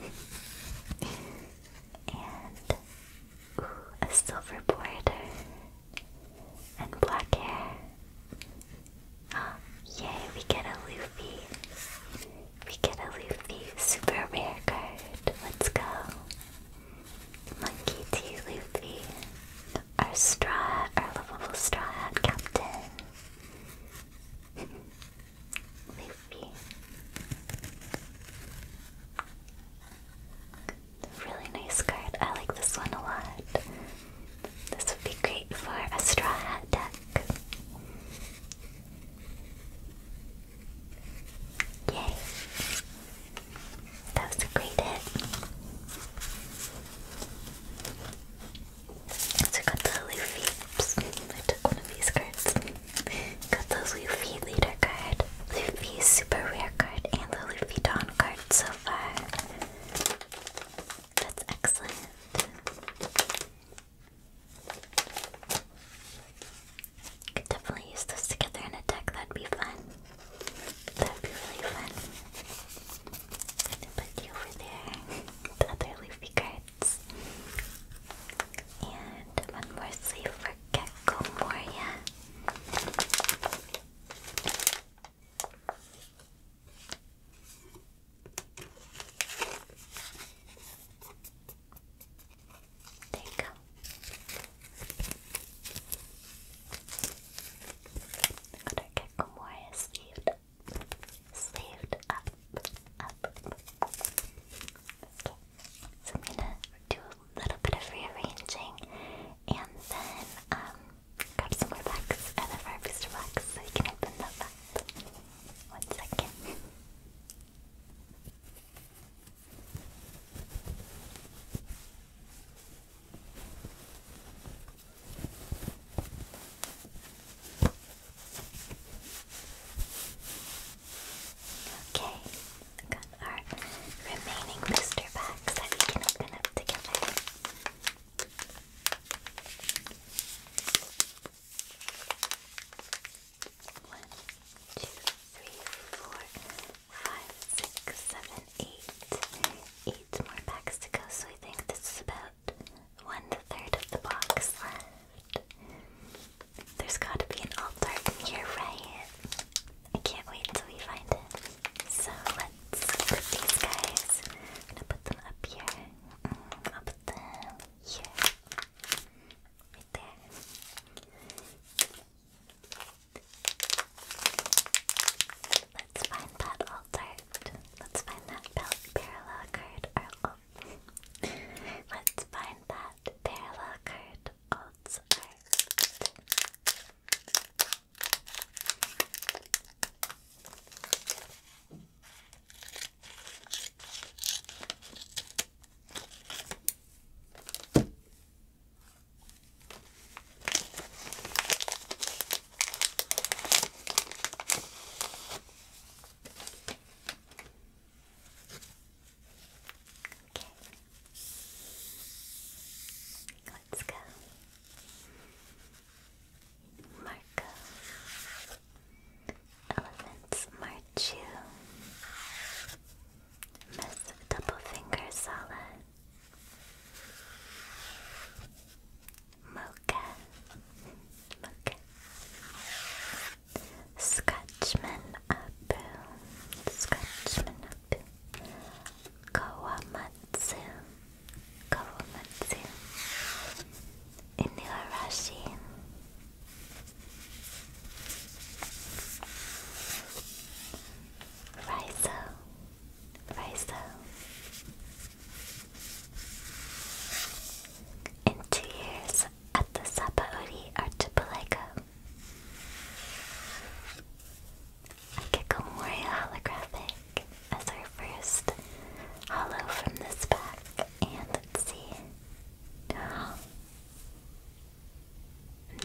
and ooh, a silver border and black hair. Oh, yay, we get a Luffy. We get a Luffy super rare card. Let's go. Monkey T. Luffy. Our straw, our lovable straw hat captain. [laughs] Maybe. Really nice card. I like this one a lot. This would be great for a straw hat deck. Yay. That was a great hit. So I got the Luffy. Oops, I took one of these cards. got the Luffy leader card, Luffy super rare card, and the Luffy Dawn card so far. That's excellent. Could definitely use those together in a deck, that'd be fun. That'd be really fun. put you over there. [laughs] the other Luffy card. And one more sleeve for Gecko Moria. There you go. Got Gecko Moria sleeved. Saved up, up. so I'm gonna do a little bit of rearranging and then um, grab some more box out of our booster box so we can open those up. One second. Okay, got our remaining booster packs that we open up together. One, two, three, four, five, six, seven, eight. Eight more packs to go, so I think this is about one third of the box left. There's gotta be an altar in here, right? I can't wait until we find it. So let's put these guys. gonna put them up here. Mm, I'll put them here. Right there. Let's find that altar. Let's find that parallel card. Let's find that parallel card odds Okay. Let's go. Marco. Elephants Marchu. Miss Double Finger Sala. Mocha. Mocha. Scotchman Abu, Scotchman Abu, Kawamatsu, Kawamatsu, Inuarashi. Raizo, Raizo. In two years, at the Sapauri archipelago. Akikomoria holographic as our first hollow from this pack, and let's see.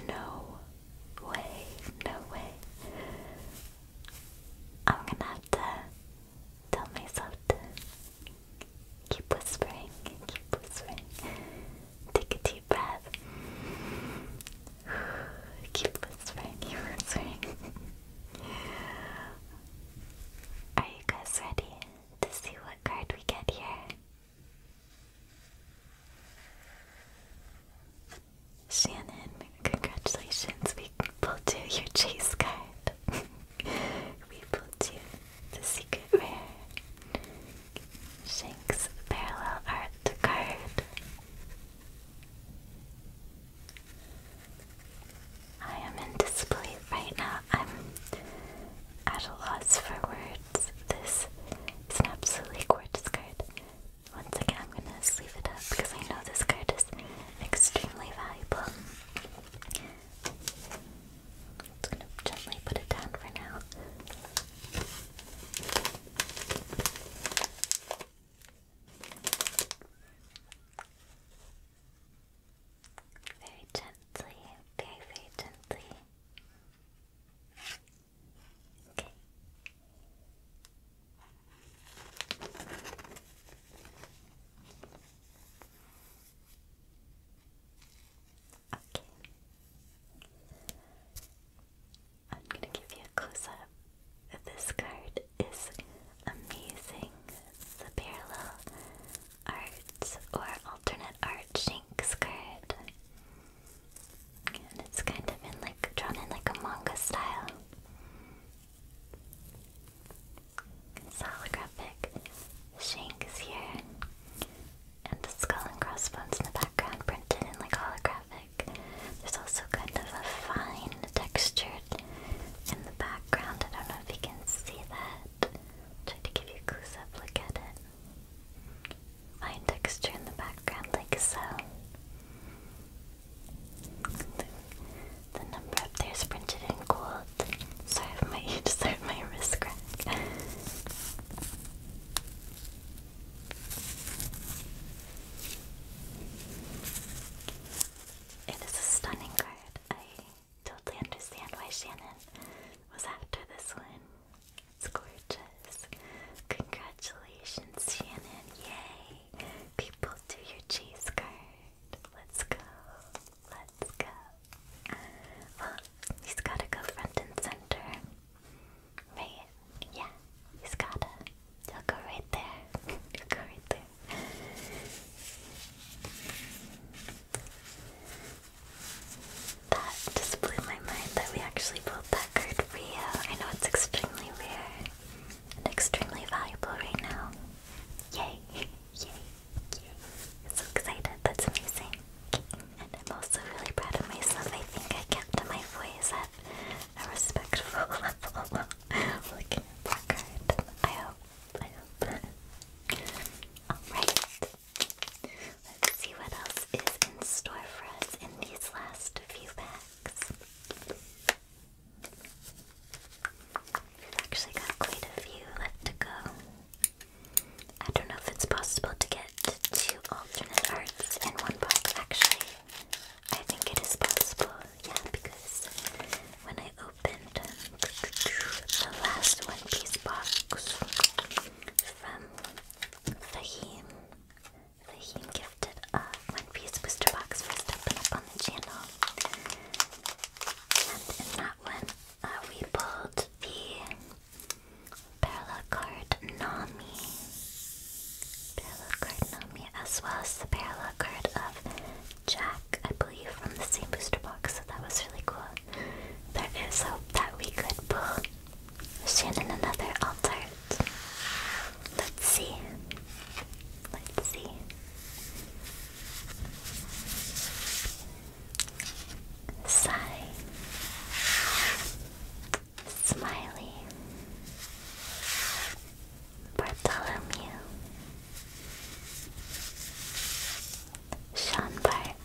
No way, no way. I'm gonna have to tell myself to keep whispering, keep whispering. Take a deep breath. [sighs] keep whispering, keep whispering. Are you guys ready to see what card we get here? Shannon, congratulations, we pulled your chase card. [laughs] Reveal to the secret rare Shanks Parallel Art card. I am in disbelief right now. I'm at a loss for words. This is an absolutely gorgeous card. Once again, I'm gonna sleeve it up because I know this card is extremely valuable. Just gonna gently put it down for now. Very gently, very, very gently. Okay. Okay. I'm gonna give you a close up. This card is amazing. The parallel art or alternate art Shanks card. And it's kind of in like drawn in like a manga style. Solographic. Shank is here. And the skull and crossbones in the background printed in like holographic. There's also kind of a fine textured in the background. I don't know if you can see that. try to give a close up look at it. Fine texture in the background like so. The, the number up there is printed in gold both side of my each [laughs] side my wrist crack. It is a stunning card. I totally understand why Shannon was after this one. It's gorgeous. Congratulations, Shannon. Yay! People do your chase card. Let's go. Let's go. Well, he's gotta go front and center. Right? Yeah, he's gotta. go right there. [laughs] go right there. That just blew my mind that we actually pulled that card for I know it's extremely rare and extremely valuable right now. Yay! Yay, yay. so excited, that's amazing. And I'm also really proud of myself. I think I kept my voice at a respectful [laughs] level. Looking at I hope. I hope. Alright. Let's see what else is in store for us in these last few packs. We've actually got quite a few left to go. I don't know if it's possible to get two alternate arts in one box, actually. I think it is possible, yeah, because when I opened the last One Piece box from Fahim, Fahim gifted a One Piece booster box first up and up on the channel. And in that one, uh, we pulled the parallel card Nami. Parallel card Nami, as well as the parallel card of Jack, I believe, from the same booster box, so that was really cool. There is hope that we could pull Shannon another alt art. Let's see. Let's see. Sigh. Smiley. Bartholomew. Sean Bart.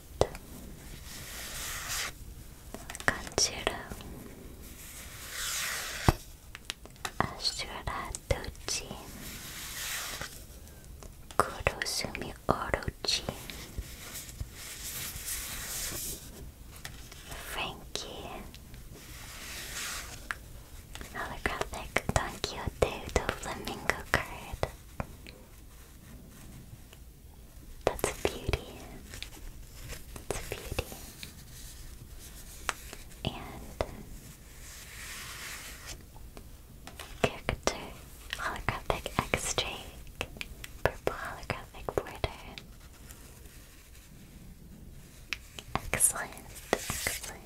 Ashura Dochi. Kurosumi Orochi, Frankie, holographic Don Quixote do Flamingo card. That's a beauty. That's a beauty. And Character holographic x Purple holographic border Excellent, excellent.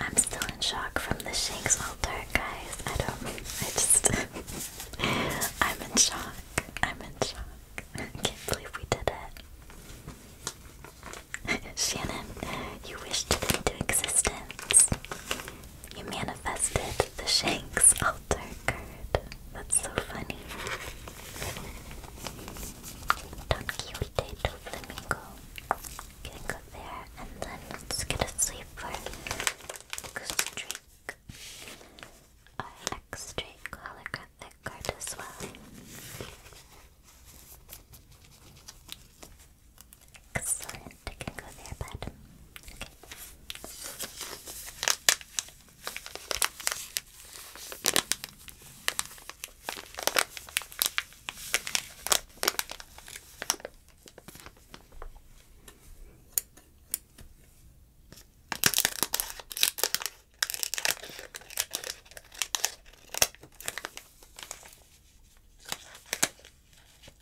I'm still in shock from the Shanks all dark, guys. I don't I just [laughs] I'm in shock. I'm in shock. [laughs] I can't believe we did it. [laughs] Shannon, you wished it into existence. You manifested the Shanks altar card. That's so funny. Don Quixote Flamingo. Gonna there and then let get a sleeper. Goose Drake. Our X Drake holographic card as well. Excellent. I can go there, bud. Okay. There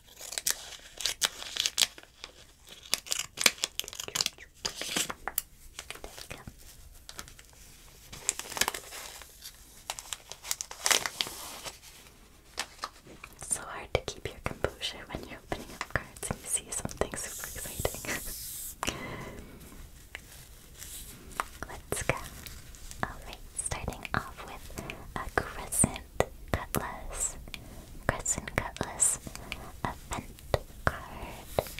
It's so hard to keep your composure when you're opening up cards and you see something super exciting. [laughs] Let's go starting off with a crescent cutlass. Crescent cutlass event card.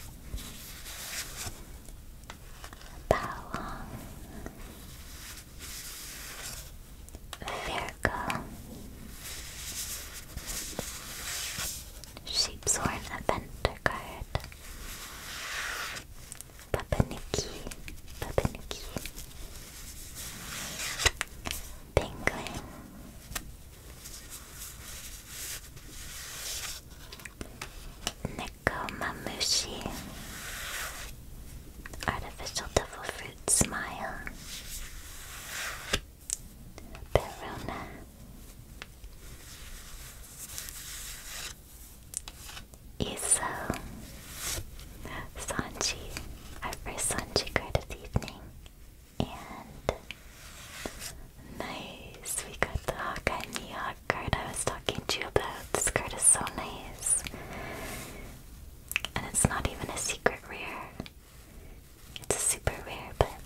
Balong. Virgo. Sheepshorn event card. Papaniki. Papaniki. Penguin. Nekomamushi. Artificial devil fruit smile. Perona. Iso. Sanji, our first Sanji card of the evening. And nice, we got the Hawkeye Mihawk card I was talking to you about. The skirt is so nice. And it's not even a secret rare. It's a super rare, but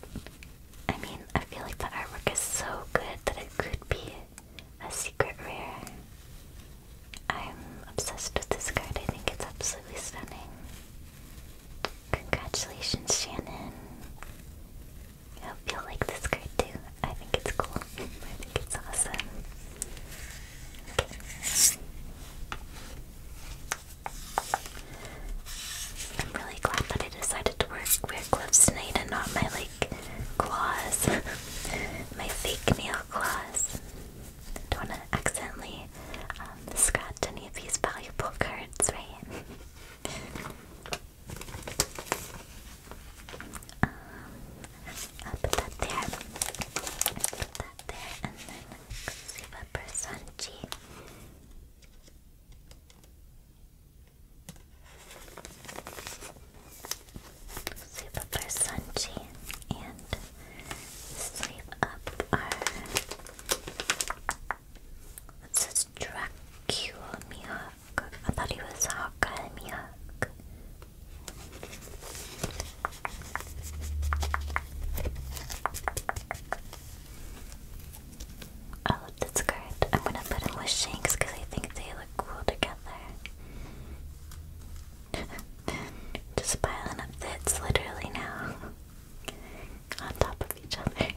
I mean, I feel like the artwork is so good that it could be a secret rare. I'm obsessed with this card. I think it's absolutely stunning. Congratulations, Shannon. I hope you like this card too. I think it's cool. I think it's awesome. I'm really glad that I decided to wear, square gloves tonight and not my like claws. [laughs] my fake nail claws. Don't want to accidentally um, scratch any of these valuable cards, right? [laughs] um, I'll put that there. Put that there, and then let's see what Personchi. Super Sunchi and sleeve up our. It says Dracula I thought he was Hawkeye Mihawk. I love this card. I'm gonna put him with Shanks because I think they look cool together. [laughs] Just piling up bits, literally now. On top of each other. [laughs]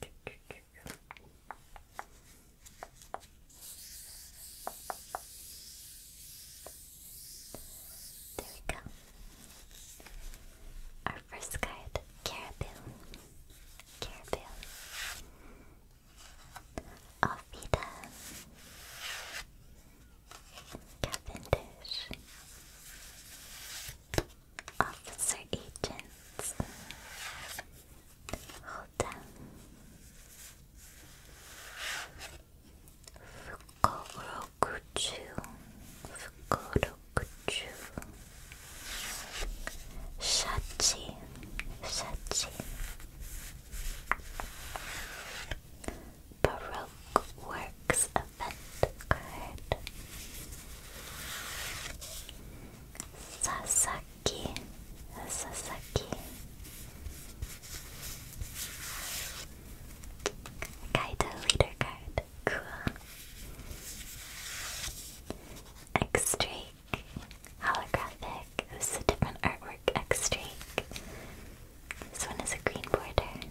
There we go. Our first card, Caribou. Caribou. Alfida. Cavendish, Officer Agents, Holda, Fukorokuchu, Fukorokuchu, Shachi, Shachi. Baroque Works event card. Sasaki. Sasaki. Kaida leader card. Cool. X-Drake. Holographic. a different artwork, X-Drake. This one is a green border.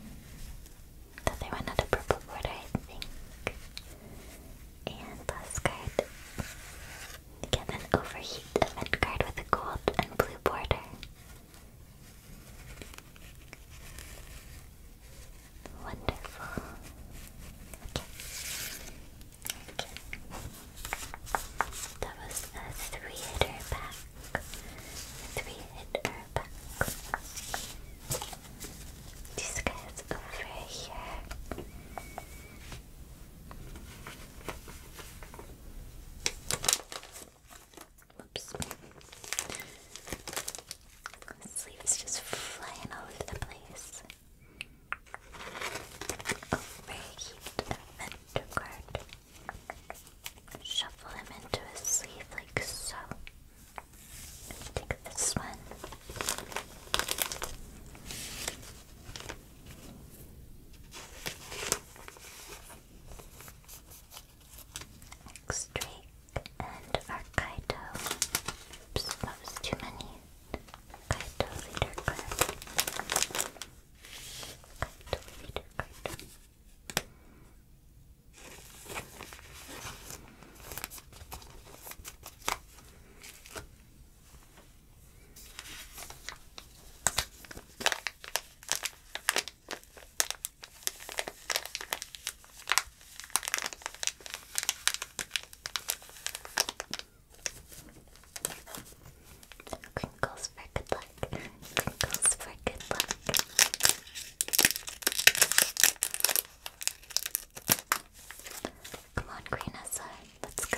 So purple border, I think. And last card. Get an overheat event card with a gold and blue border. Wonderful. That was a three hitter pack. three hitter back. This over here. Whoops. Sleeves just flying all over the place. Overheat a vendor card. Shuffle him into his sleeve like so. Let's take this one. Drake and Arkaito. Oops, that was too many. Arkaito leader card. Arkaito leader Crinkles for good luck. Crinkles for good luck. Come on, Green Let's go. Let's go.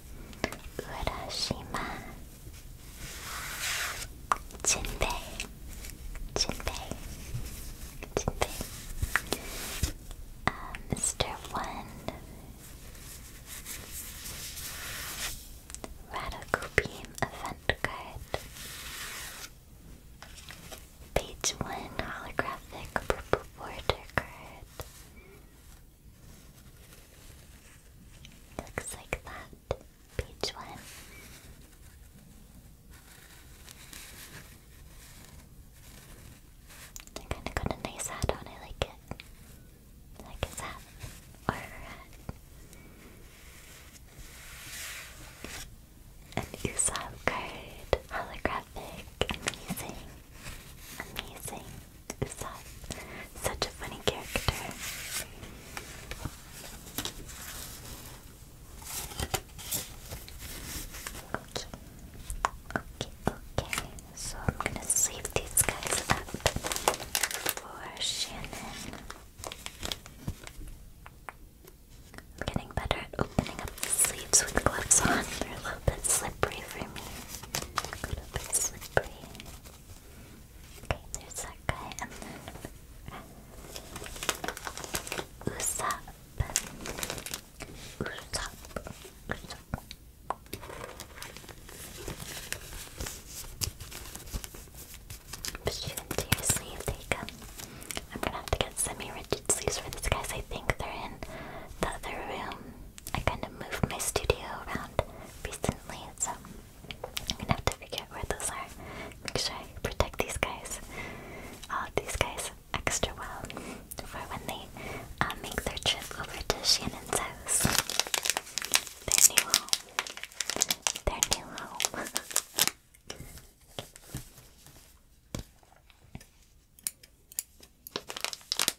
Urashima Jinbei Jinbei Jinbei uh, Mr. One Radical Event Card Page 1 Holographic Purple Border Card Looks like that. Page one. They kinda got a nice hat on, I like it. like his hat. Or her hat. An Usopp card. Holographic. Amazing. Amazing is Such a funny character. Okay. Okay, okay. So I'm gonna save these guys up for Shannon. I'm getting better at opening up the sleeves with gloves on. They're a little bit slippery for me. A little bit slippery. Okay, there's that guy, and then Usopp. Usopp. Usopp. But you can seriously take them. I'm gonna have to get semi-rigid sleeves for these guys. I think they're in the other room. I kind of moved my studio around recently, so I'm gonna have to forget where those are. Make sure I protect these guys, all these guys, extra well for when they uh, make their trip over to Shannon's house. Their new home. Their new home. [laughs] [laughs]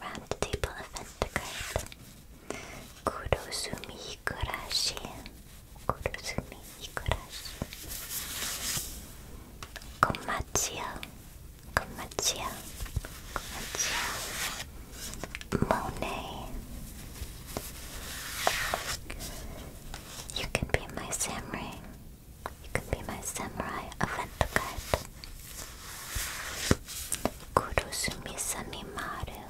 Round table event Kurosumi Higurashi. Kurosumi Higurashi. Komachio. Komachio. Monet. You can be my samurai. You could be my samurai event guide. Kurosumi Samimaru.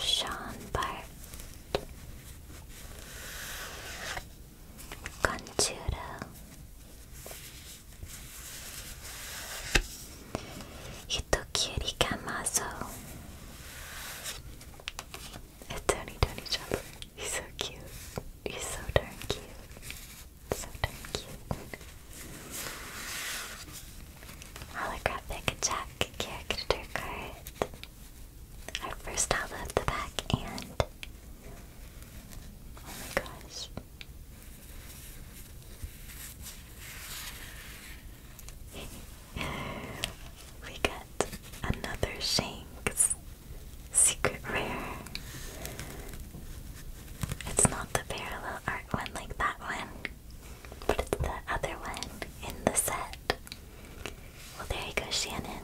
Sean Bart. Conchuro. Hitokiri Kamazo. It's Tony Tony Jumper. He's so cute. He's so darn cute. So darn cute. Holographic Jack character card. Our first holo of the pack and oh my gosh. [laughs] we got another Shanks secret rare. It's not the parallel art one like that one, but it's the other one in the set. Well, there you go, Shannon.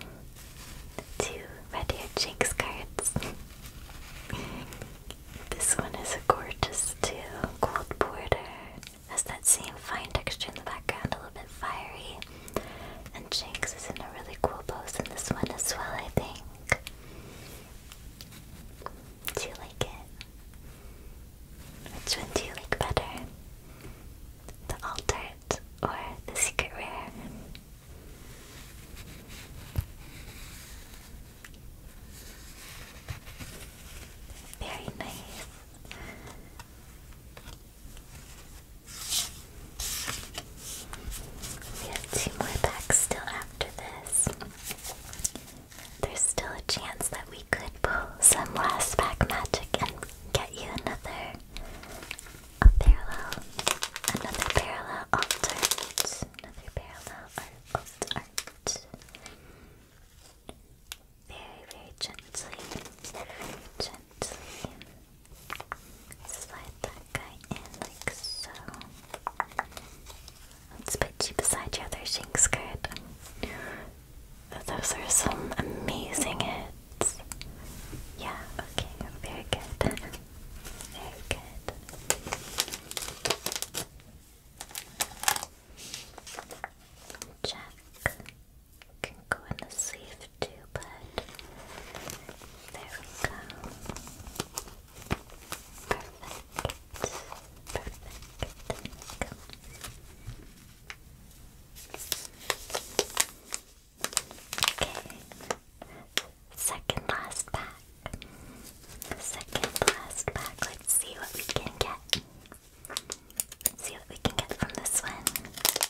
Two red haired Shanks cards. this one is gorgeous, too. Gold border has that same fine texture in the background, a little bit fiery. And Jinx is in a really cool pose in this one as well, I think. Do you like it? Which one do you like better? The altered or the secret rare? Very nice. We have two more packs still after this. There's still a chance that we could pull some last pack magic and get you another a parallel, another parallel alt another parallel art, alt art very, very gently, very gently slide that guy in like so. Let's put you beside your other shank skirt. Those are some amazing hits. Yeah, okay, very good. Very good. Check can go in the sleeve too, but there we go. Okay. Second last pack. Second last pack. Let's see what we can get. Let's see what we can get from this one.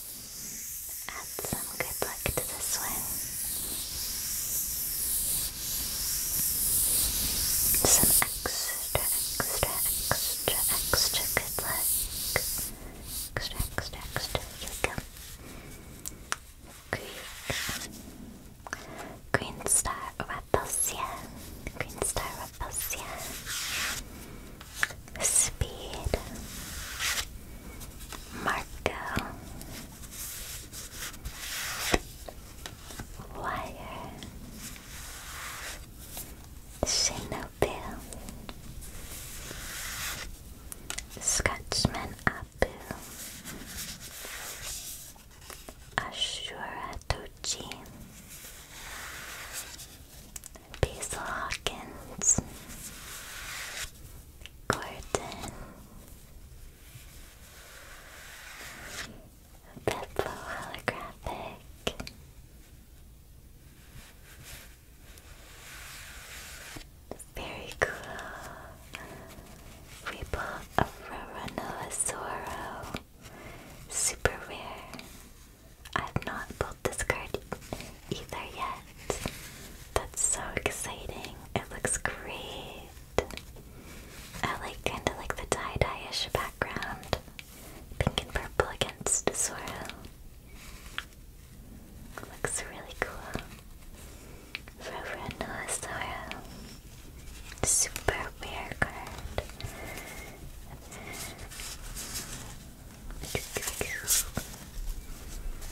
Add some good luck to this one. Some extra, extra, extra, extra good luck. Extra, extra, extra. Here we go. star Raposia. Green star Raposia. Speed. Marco Wire Shinobu Scotchman Abu Ashura Tochi Basil Hawkins Gordon, Beppo Holographic, very cool, Ripple Aurora Noasoro, super rare. I have not pulled this card either yet. That's so exciting. It looks great. I like kind of like the tie-dye-ish background. Pink and purple against Zoro. Looks really cool. Roro Noah Zoro. Super rare card.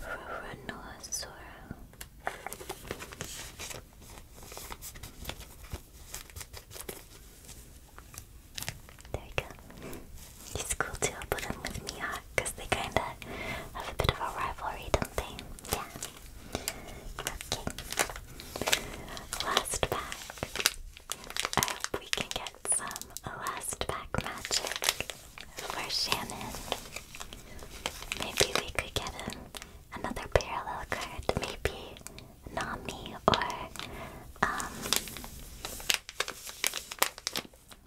Ruranosaur. There you go. He's cool too. I'll put him with Mihawk because they kind of have a bit of a rivalry, don't they? Yeah. Okay. Last pack. I hope we can get some last pack magic for Shannon. Maybe we could get him another parallel card. Maybe Nami or um,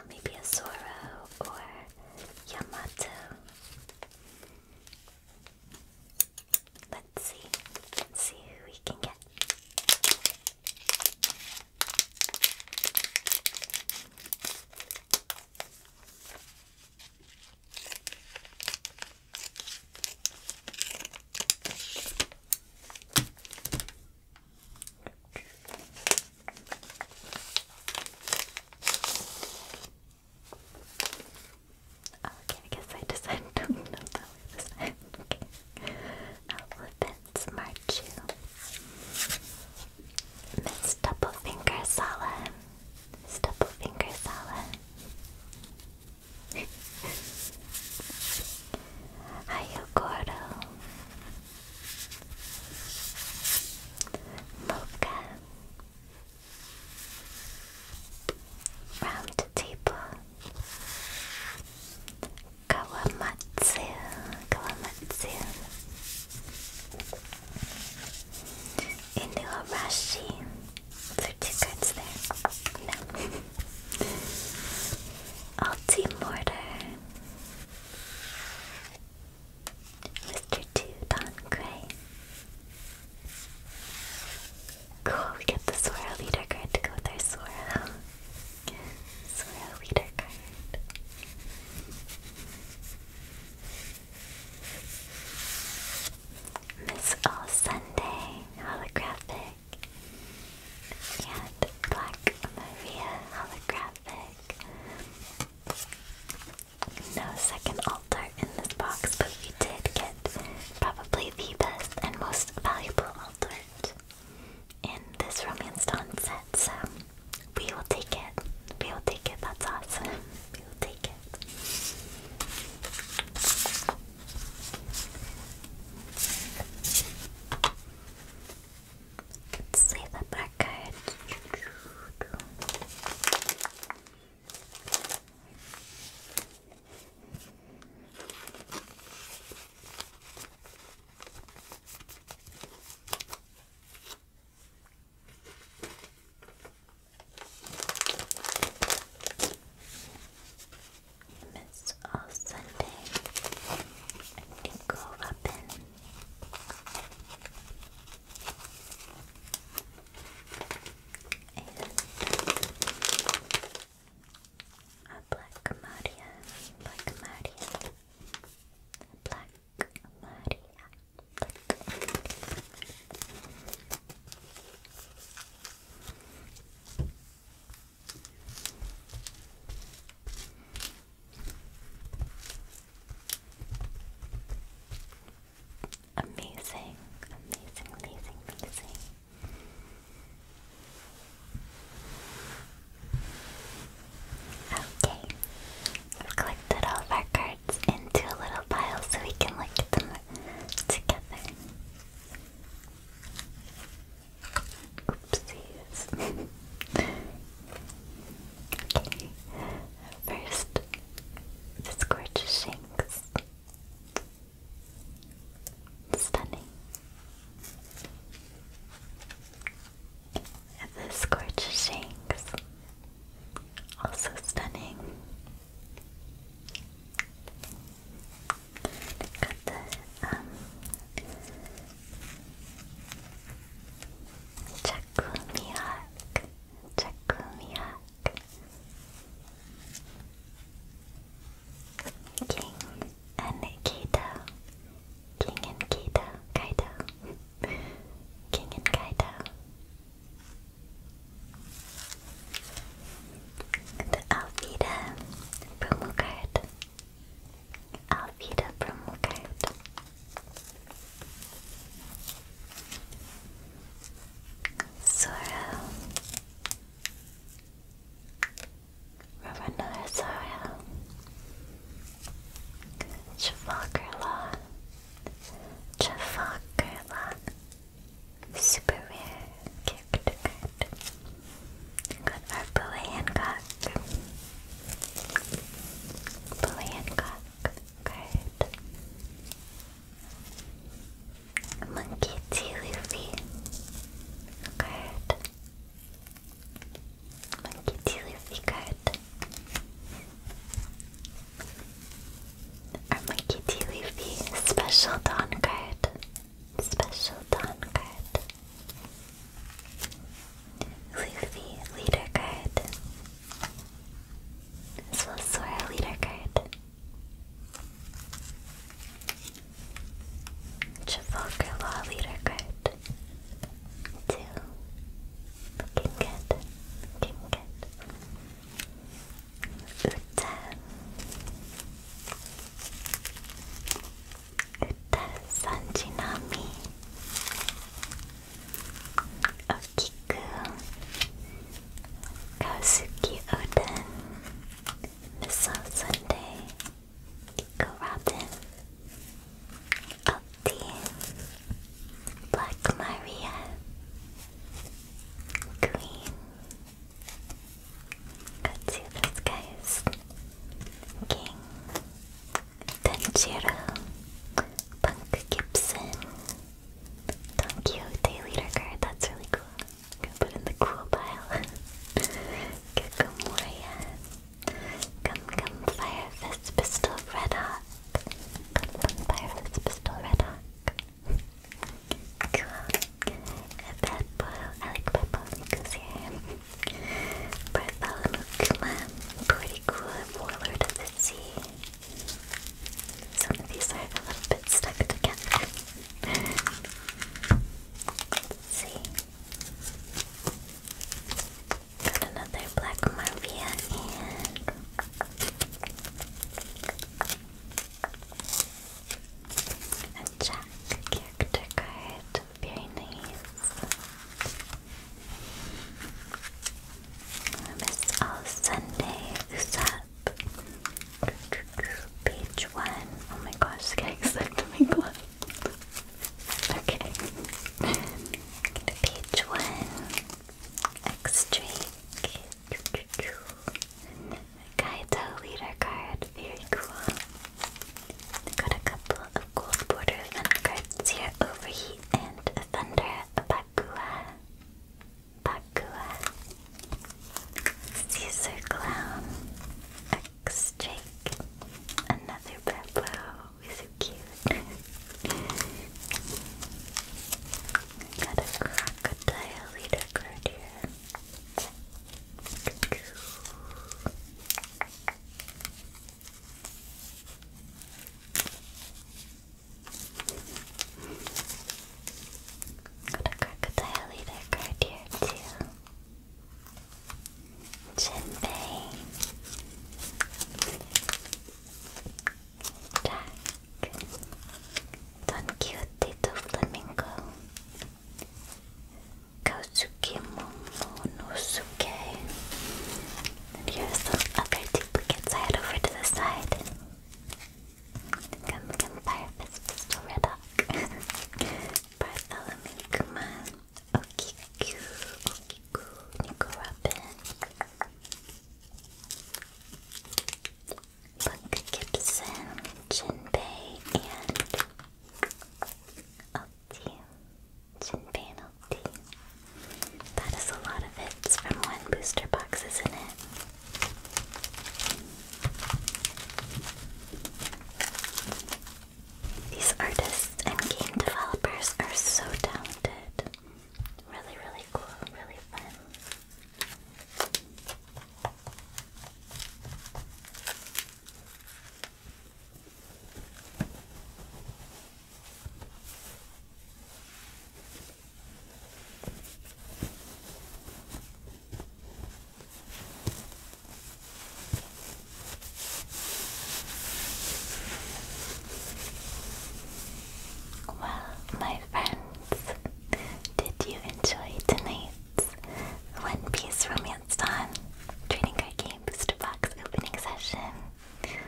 maybe a Zoro or Yamato. Let's see. Let's see who we can get. Okay, I guess I [laughs] decided to know that way this time. Okay. Alphabet. Uh, with Marchu. Miss Doublefinger Sala. Miss Doublefinger Sala. Ayogoro. [laughs] Mocha. Round table. Kawamatsu, Kawamatsu, Inuarashi. Is there cards there? No. Alti Mr. Two Don Gray. Cool, we get the Sora leader card to go with our Sora. So leader card. Miss All Sunday holographic and Black Maria holographic. No second altar in this box, but we did get probably the best and most valuable altar in this romance dawn set, so we will take it. We will take it, that's awesome. We will take it. Let's save up our it's all Sunday. I can go up And a black Maria, black Maria, black Maria. Amazing, amazing, amazing, amazing. Okay, I've collected all of our cards into a little pile so we can look at them together. Oopsies. [laughs] okay, first, this gorgeous Shanks. Stunning. And this also stunning. Got the um, Chakumihawk, Chakumihawk, King, and Kato. King and Kaido. Kaido. King and Kaido. The Alfida promo card. Alfida promo card. Zoro. Roronoa Zoro. Trafalgar Law. Trafalgar Law. Super our Bowie Hancock. Bowie Hancock card. Monkey T. Luffy card. Monkey Luffy card. Our Monkey D. special don card. Special dawn card. Luffy leader card. As well as Sora leader card. Trafalgar Law leader card. Two. King Cat, Uta, Uta Sanjinami, Okiku, Kaosuke Oden, Missile Sunday, Aldean, Black Maria, Queen. Got to those King, Tanjiro, Punk Gibson, Don Quixote That's really cool. put in the cool pile. [laughs] Kakamoriya, Come, come, fire fist pistol, red hawk. Come, come, fire fist pistol, red hawk. cool. A bad boil. I like bad boil because here. Bartholomew Kuma. Pretty cool. Warlord of the Sea. Some of these are a little bit stuck together. see. Got another black Marvia and a Jack character card. Very nice. I missed Who's up? Page one. Oh my gosh, getting stuck to my glove. Okay. Page one. Extra Kaito leader card, very cool. got a couple of gold border event cards here, Overheat and Thunder Bakua. Bakua. Caesar Clown. X Another Beppo so cute. got a crocodile leader card here. Got a crocodile leader card here too. Jinbei. Tak. Don Quixote do Flamingo. Kosuke Momonosuke. And here are some other duplicates I had over to the side. Come, come, Firefist, Pistol, Reddock. [laughs] Bartholomew Kuman. Okiku, Okiku, Nico Robin. Buck Gibson, Jinbei, and Ulti. Jinbei and That is a lot of hits from one booster box, isn't it? These artists and game developers are so talented. Really, really cool, really fun. Well, my friends, did you enjoy tonight's One Piece Romance Dawn Trading Card Game Booster Box opening session?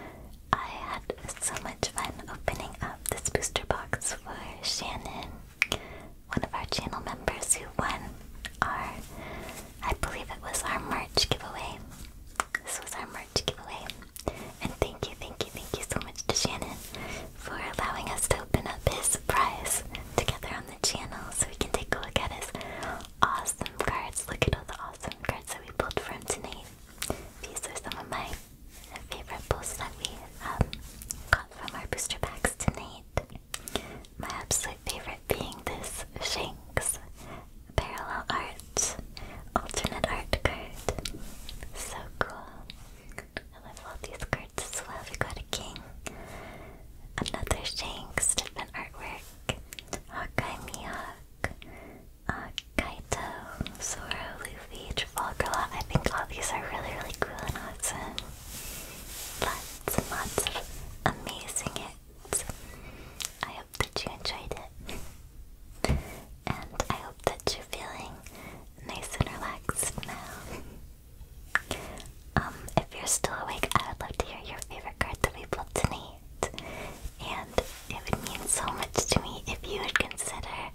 I had so much fun opening up this booster box for Shannon, one of our channel members who won our, I believe it was our March giveaway. This was our merch giveaway. And thank you, thank you, thank you so much to Shannon for allowing us to open up his surprise together on the channel so we can take a look at his awesome cards. Look at all the awesome cards that we pulled from tonight. These are some of my favorite pulls that we um, got from our booster packs tonight. My absolute favorite being this Shanks parallel art, alternate art card. So cool. I love all these cards as well. We got a king, another Shanks, different artwork, Hawkeye Mihawk, uh, Kaito, Luffy, Trafalgar I think all these are really, really cool and awesome. Lots and lots of amazing hits. I hope that you enjoyed it. And I hope that you're feeling nice and relaxed now. Um, if you're still awake, I would love to hear your favorite card that we pulled tonight. And it would mean so much to me if you would consider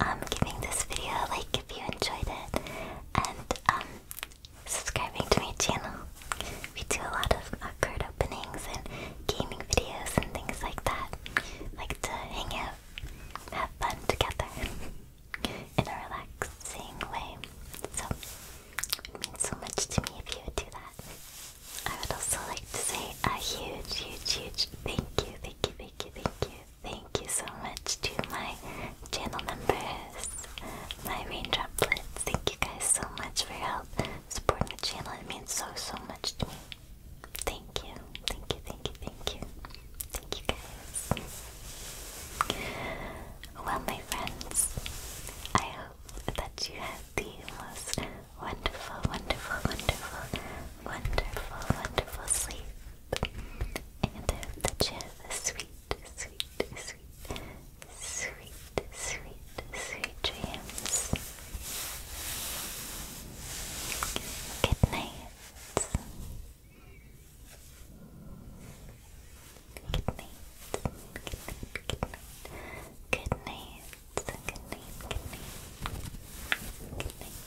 um, giving this video a like if you enjoyed it and um, subscribing to my channel. We do a lot of uh, openings and gaming videos and things like that. Like to hang out, have fun together [laughs] in a way. So it means so much to me if you would do that. I would also like to say a huge, huge, huge thank you, thank you, thank you, thank you, thank you so much to my channel members, my raindroplets. Thank you guys so much for your help supporting the channel. It means so, so much to me. Thank you, thank you, thank you, thank you. Thank you guys. Well, my friends, I hope that you had the most wonderful, wonderful, wonderful, wonderful, wonderful sleep. And that you have a sweet, sweet, sweet, sweet, sweet, sweet Good night. Good night. Good night. Good night. Good night. Good night. Good night.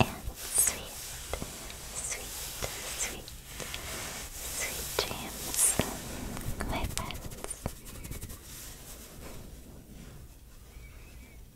And sweet, sweet, sweet, sweet dreams, my friends.